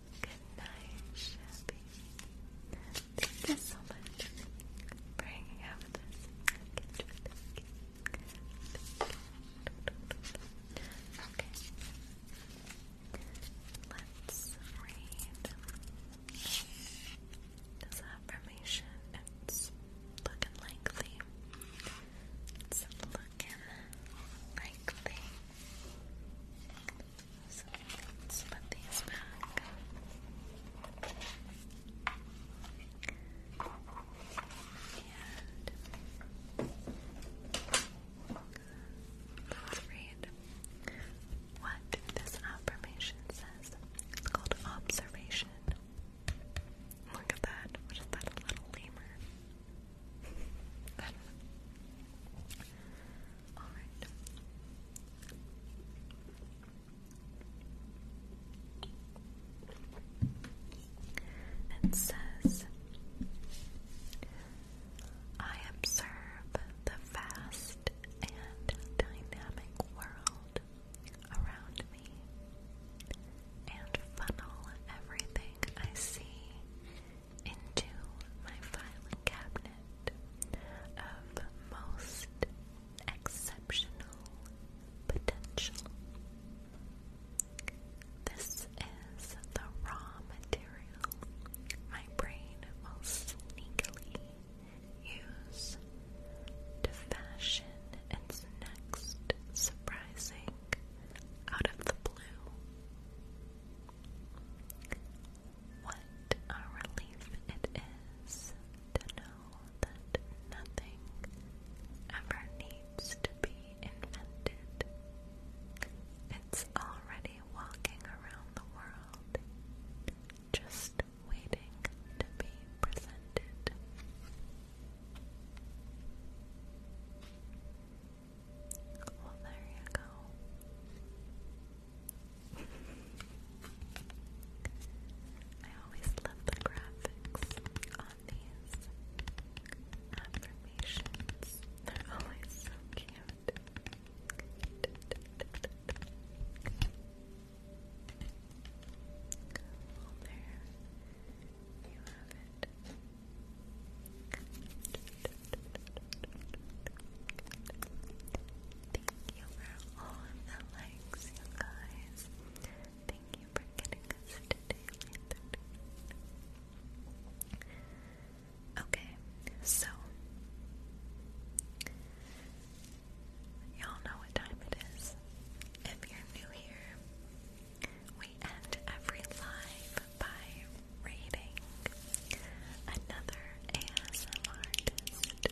Good night, Shabby. Thank you so much for hanging out with us. Okay. Let's read this affirmation. It's looking It's looking likely. So let's put these back. And let's read what this affirmation says. It's called observation. Look at that. What is that? little lemur. It says, I observe the vast and dynamic world around me and funnel everything I see into my filing cabinet of most exceptional potential. This is the raw material my brain will sneakily use to fashion its next surprising out of the blue. What a relief it is to know that nothing ever needs to be invented. It's already walking around the world, just waiting to be presented. Well, there you go. I always love the graphics on these affirmations. They're always so cute. there you have it. Thank you for all the likes, you guys. Thank you for getting us to daily 30. Okay, so y'all know what time it is. If you're new here, we end every live by rating another ASMR artist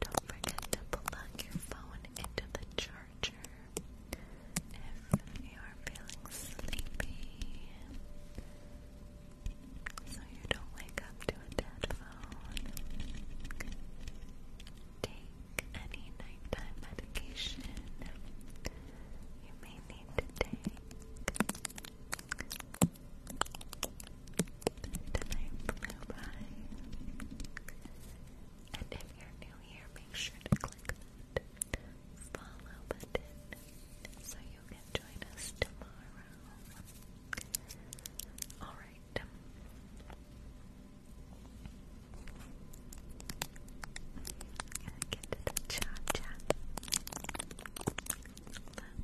Don't forget to plug your phone into the charger if you are feeling sleepy so you don't wake up to a dead phone. Take any nighttime medication you may need to take. Tonight flew by. And if you're new here, make sure to click that follow button so you can join us tomorrow. Alright. going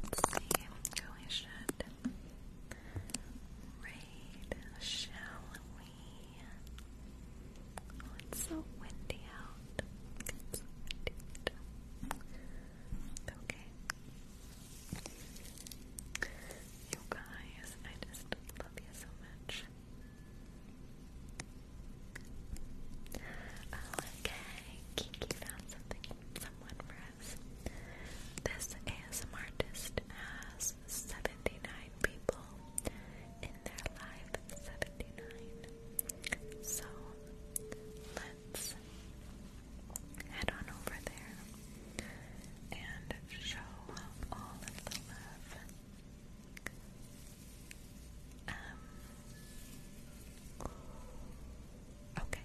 Let's see. Oh, we should raid, shall we? Oh, it's so windy out. Okay. You guys, I just love you so much. Oh, okay. Kiki found something, someone for us. This ASM artist has 79 people in their live 79. So, let head on over there and show all of the love. Um, okay.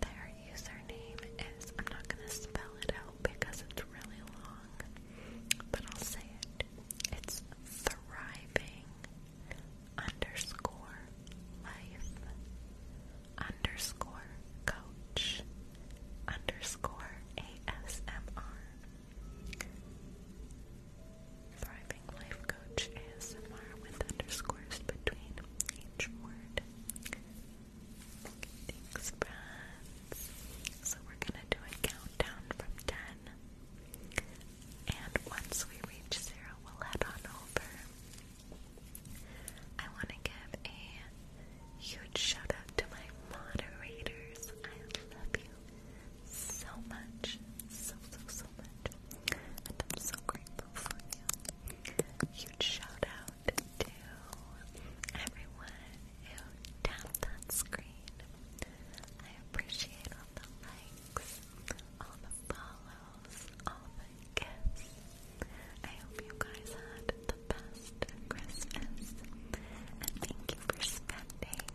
Their username is, I'm not going to spell it out because it's really long, but I'll say it. It's Thriving underscore life underscore coach underscore ASMR Thriving Life Coach ASMR with underscores between each word. thanks friends. So we're gonna do a countdown from ten. And once we reach zero, we'll head on over. I want to give a huge shout out to my moderators. I love you so much. So, so, so much. I'm so grateful for you. Huge shout out to everyone who tapped that screen. I appreciate all the likes, all the follows yourselves off I hope you guys had the best Christmas. And thank you for spending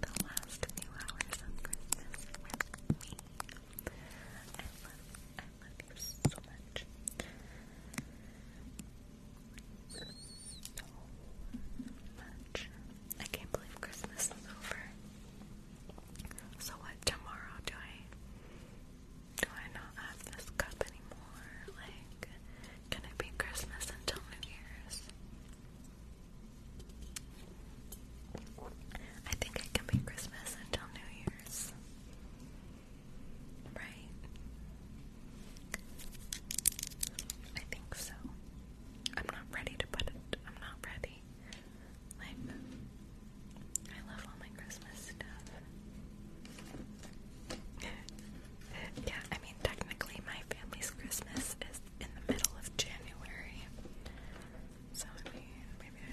the last few hours of Christmas with me. I I love you so much. So much. I can't believe Christmas is over. So what tomorrow do I do I not have this cup anymore? Like can it be Christmas until New Year's? I think it can be Christmas until New Year's. Right? I think so. I'm not ready to put it. I'm not ready. Like, I love all my Christmas stuff. yeah, I mean, technically, my family's Christmas is in the middle of January. So, I mean, maybe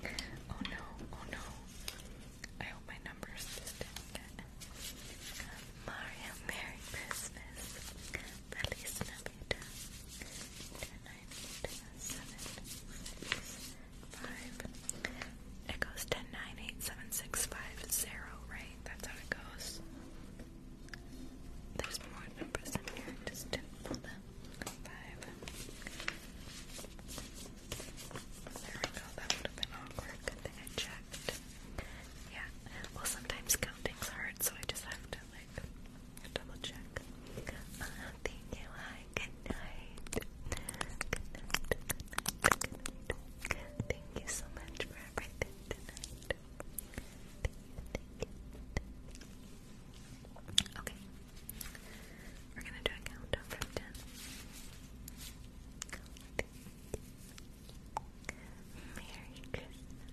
oh no, oh no. I hope my numbers didn't get. Mario, Merry Christmas. Feliz Navidad. It goes ten, nine, eight, seven, six, five, zero, right? That's how it goes. There's more numbers in here, just did Five. There we go, that would have been awkward. Good thing I checked. Yeah, well, sometimes counting's hard, so I just have to Double check. Uh, thank you. Good night. Good night. Thank you so much for everything tonight. Okay. We're gonna do a countdown from ten. Merry Christmas.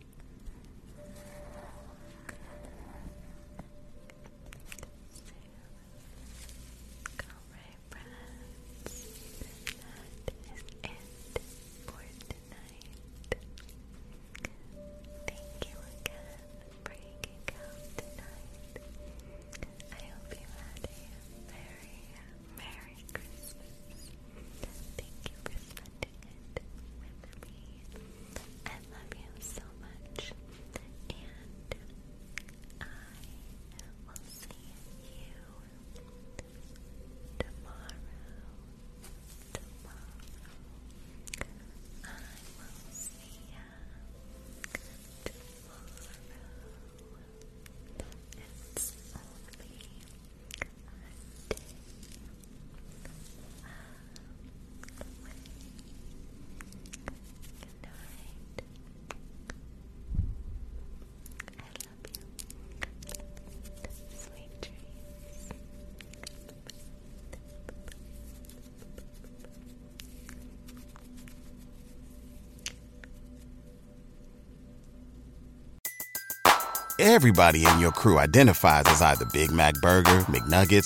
Alright, friends, that is it for tonight. Thank you again for hanging out tonight. I hope you had a very Merry Christmas. Thank you for spending it with I love you so much, and I will see you tomorrow. Tomorrow, I will see ya tomorrow. It's only a day Everybody in your crew identifies as either Big Mac Burger, McNuggets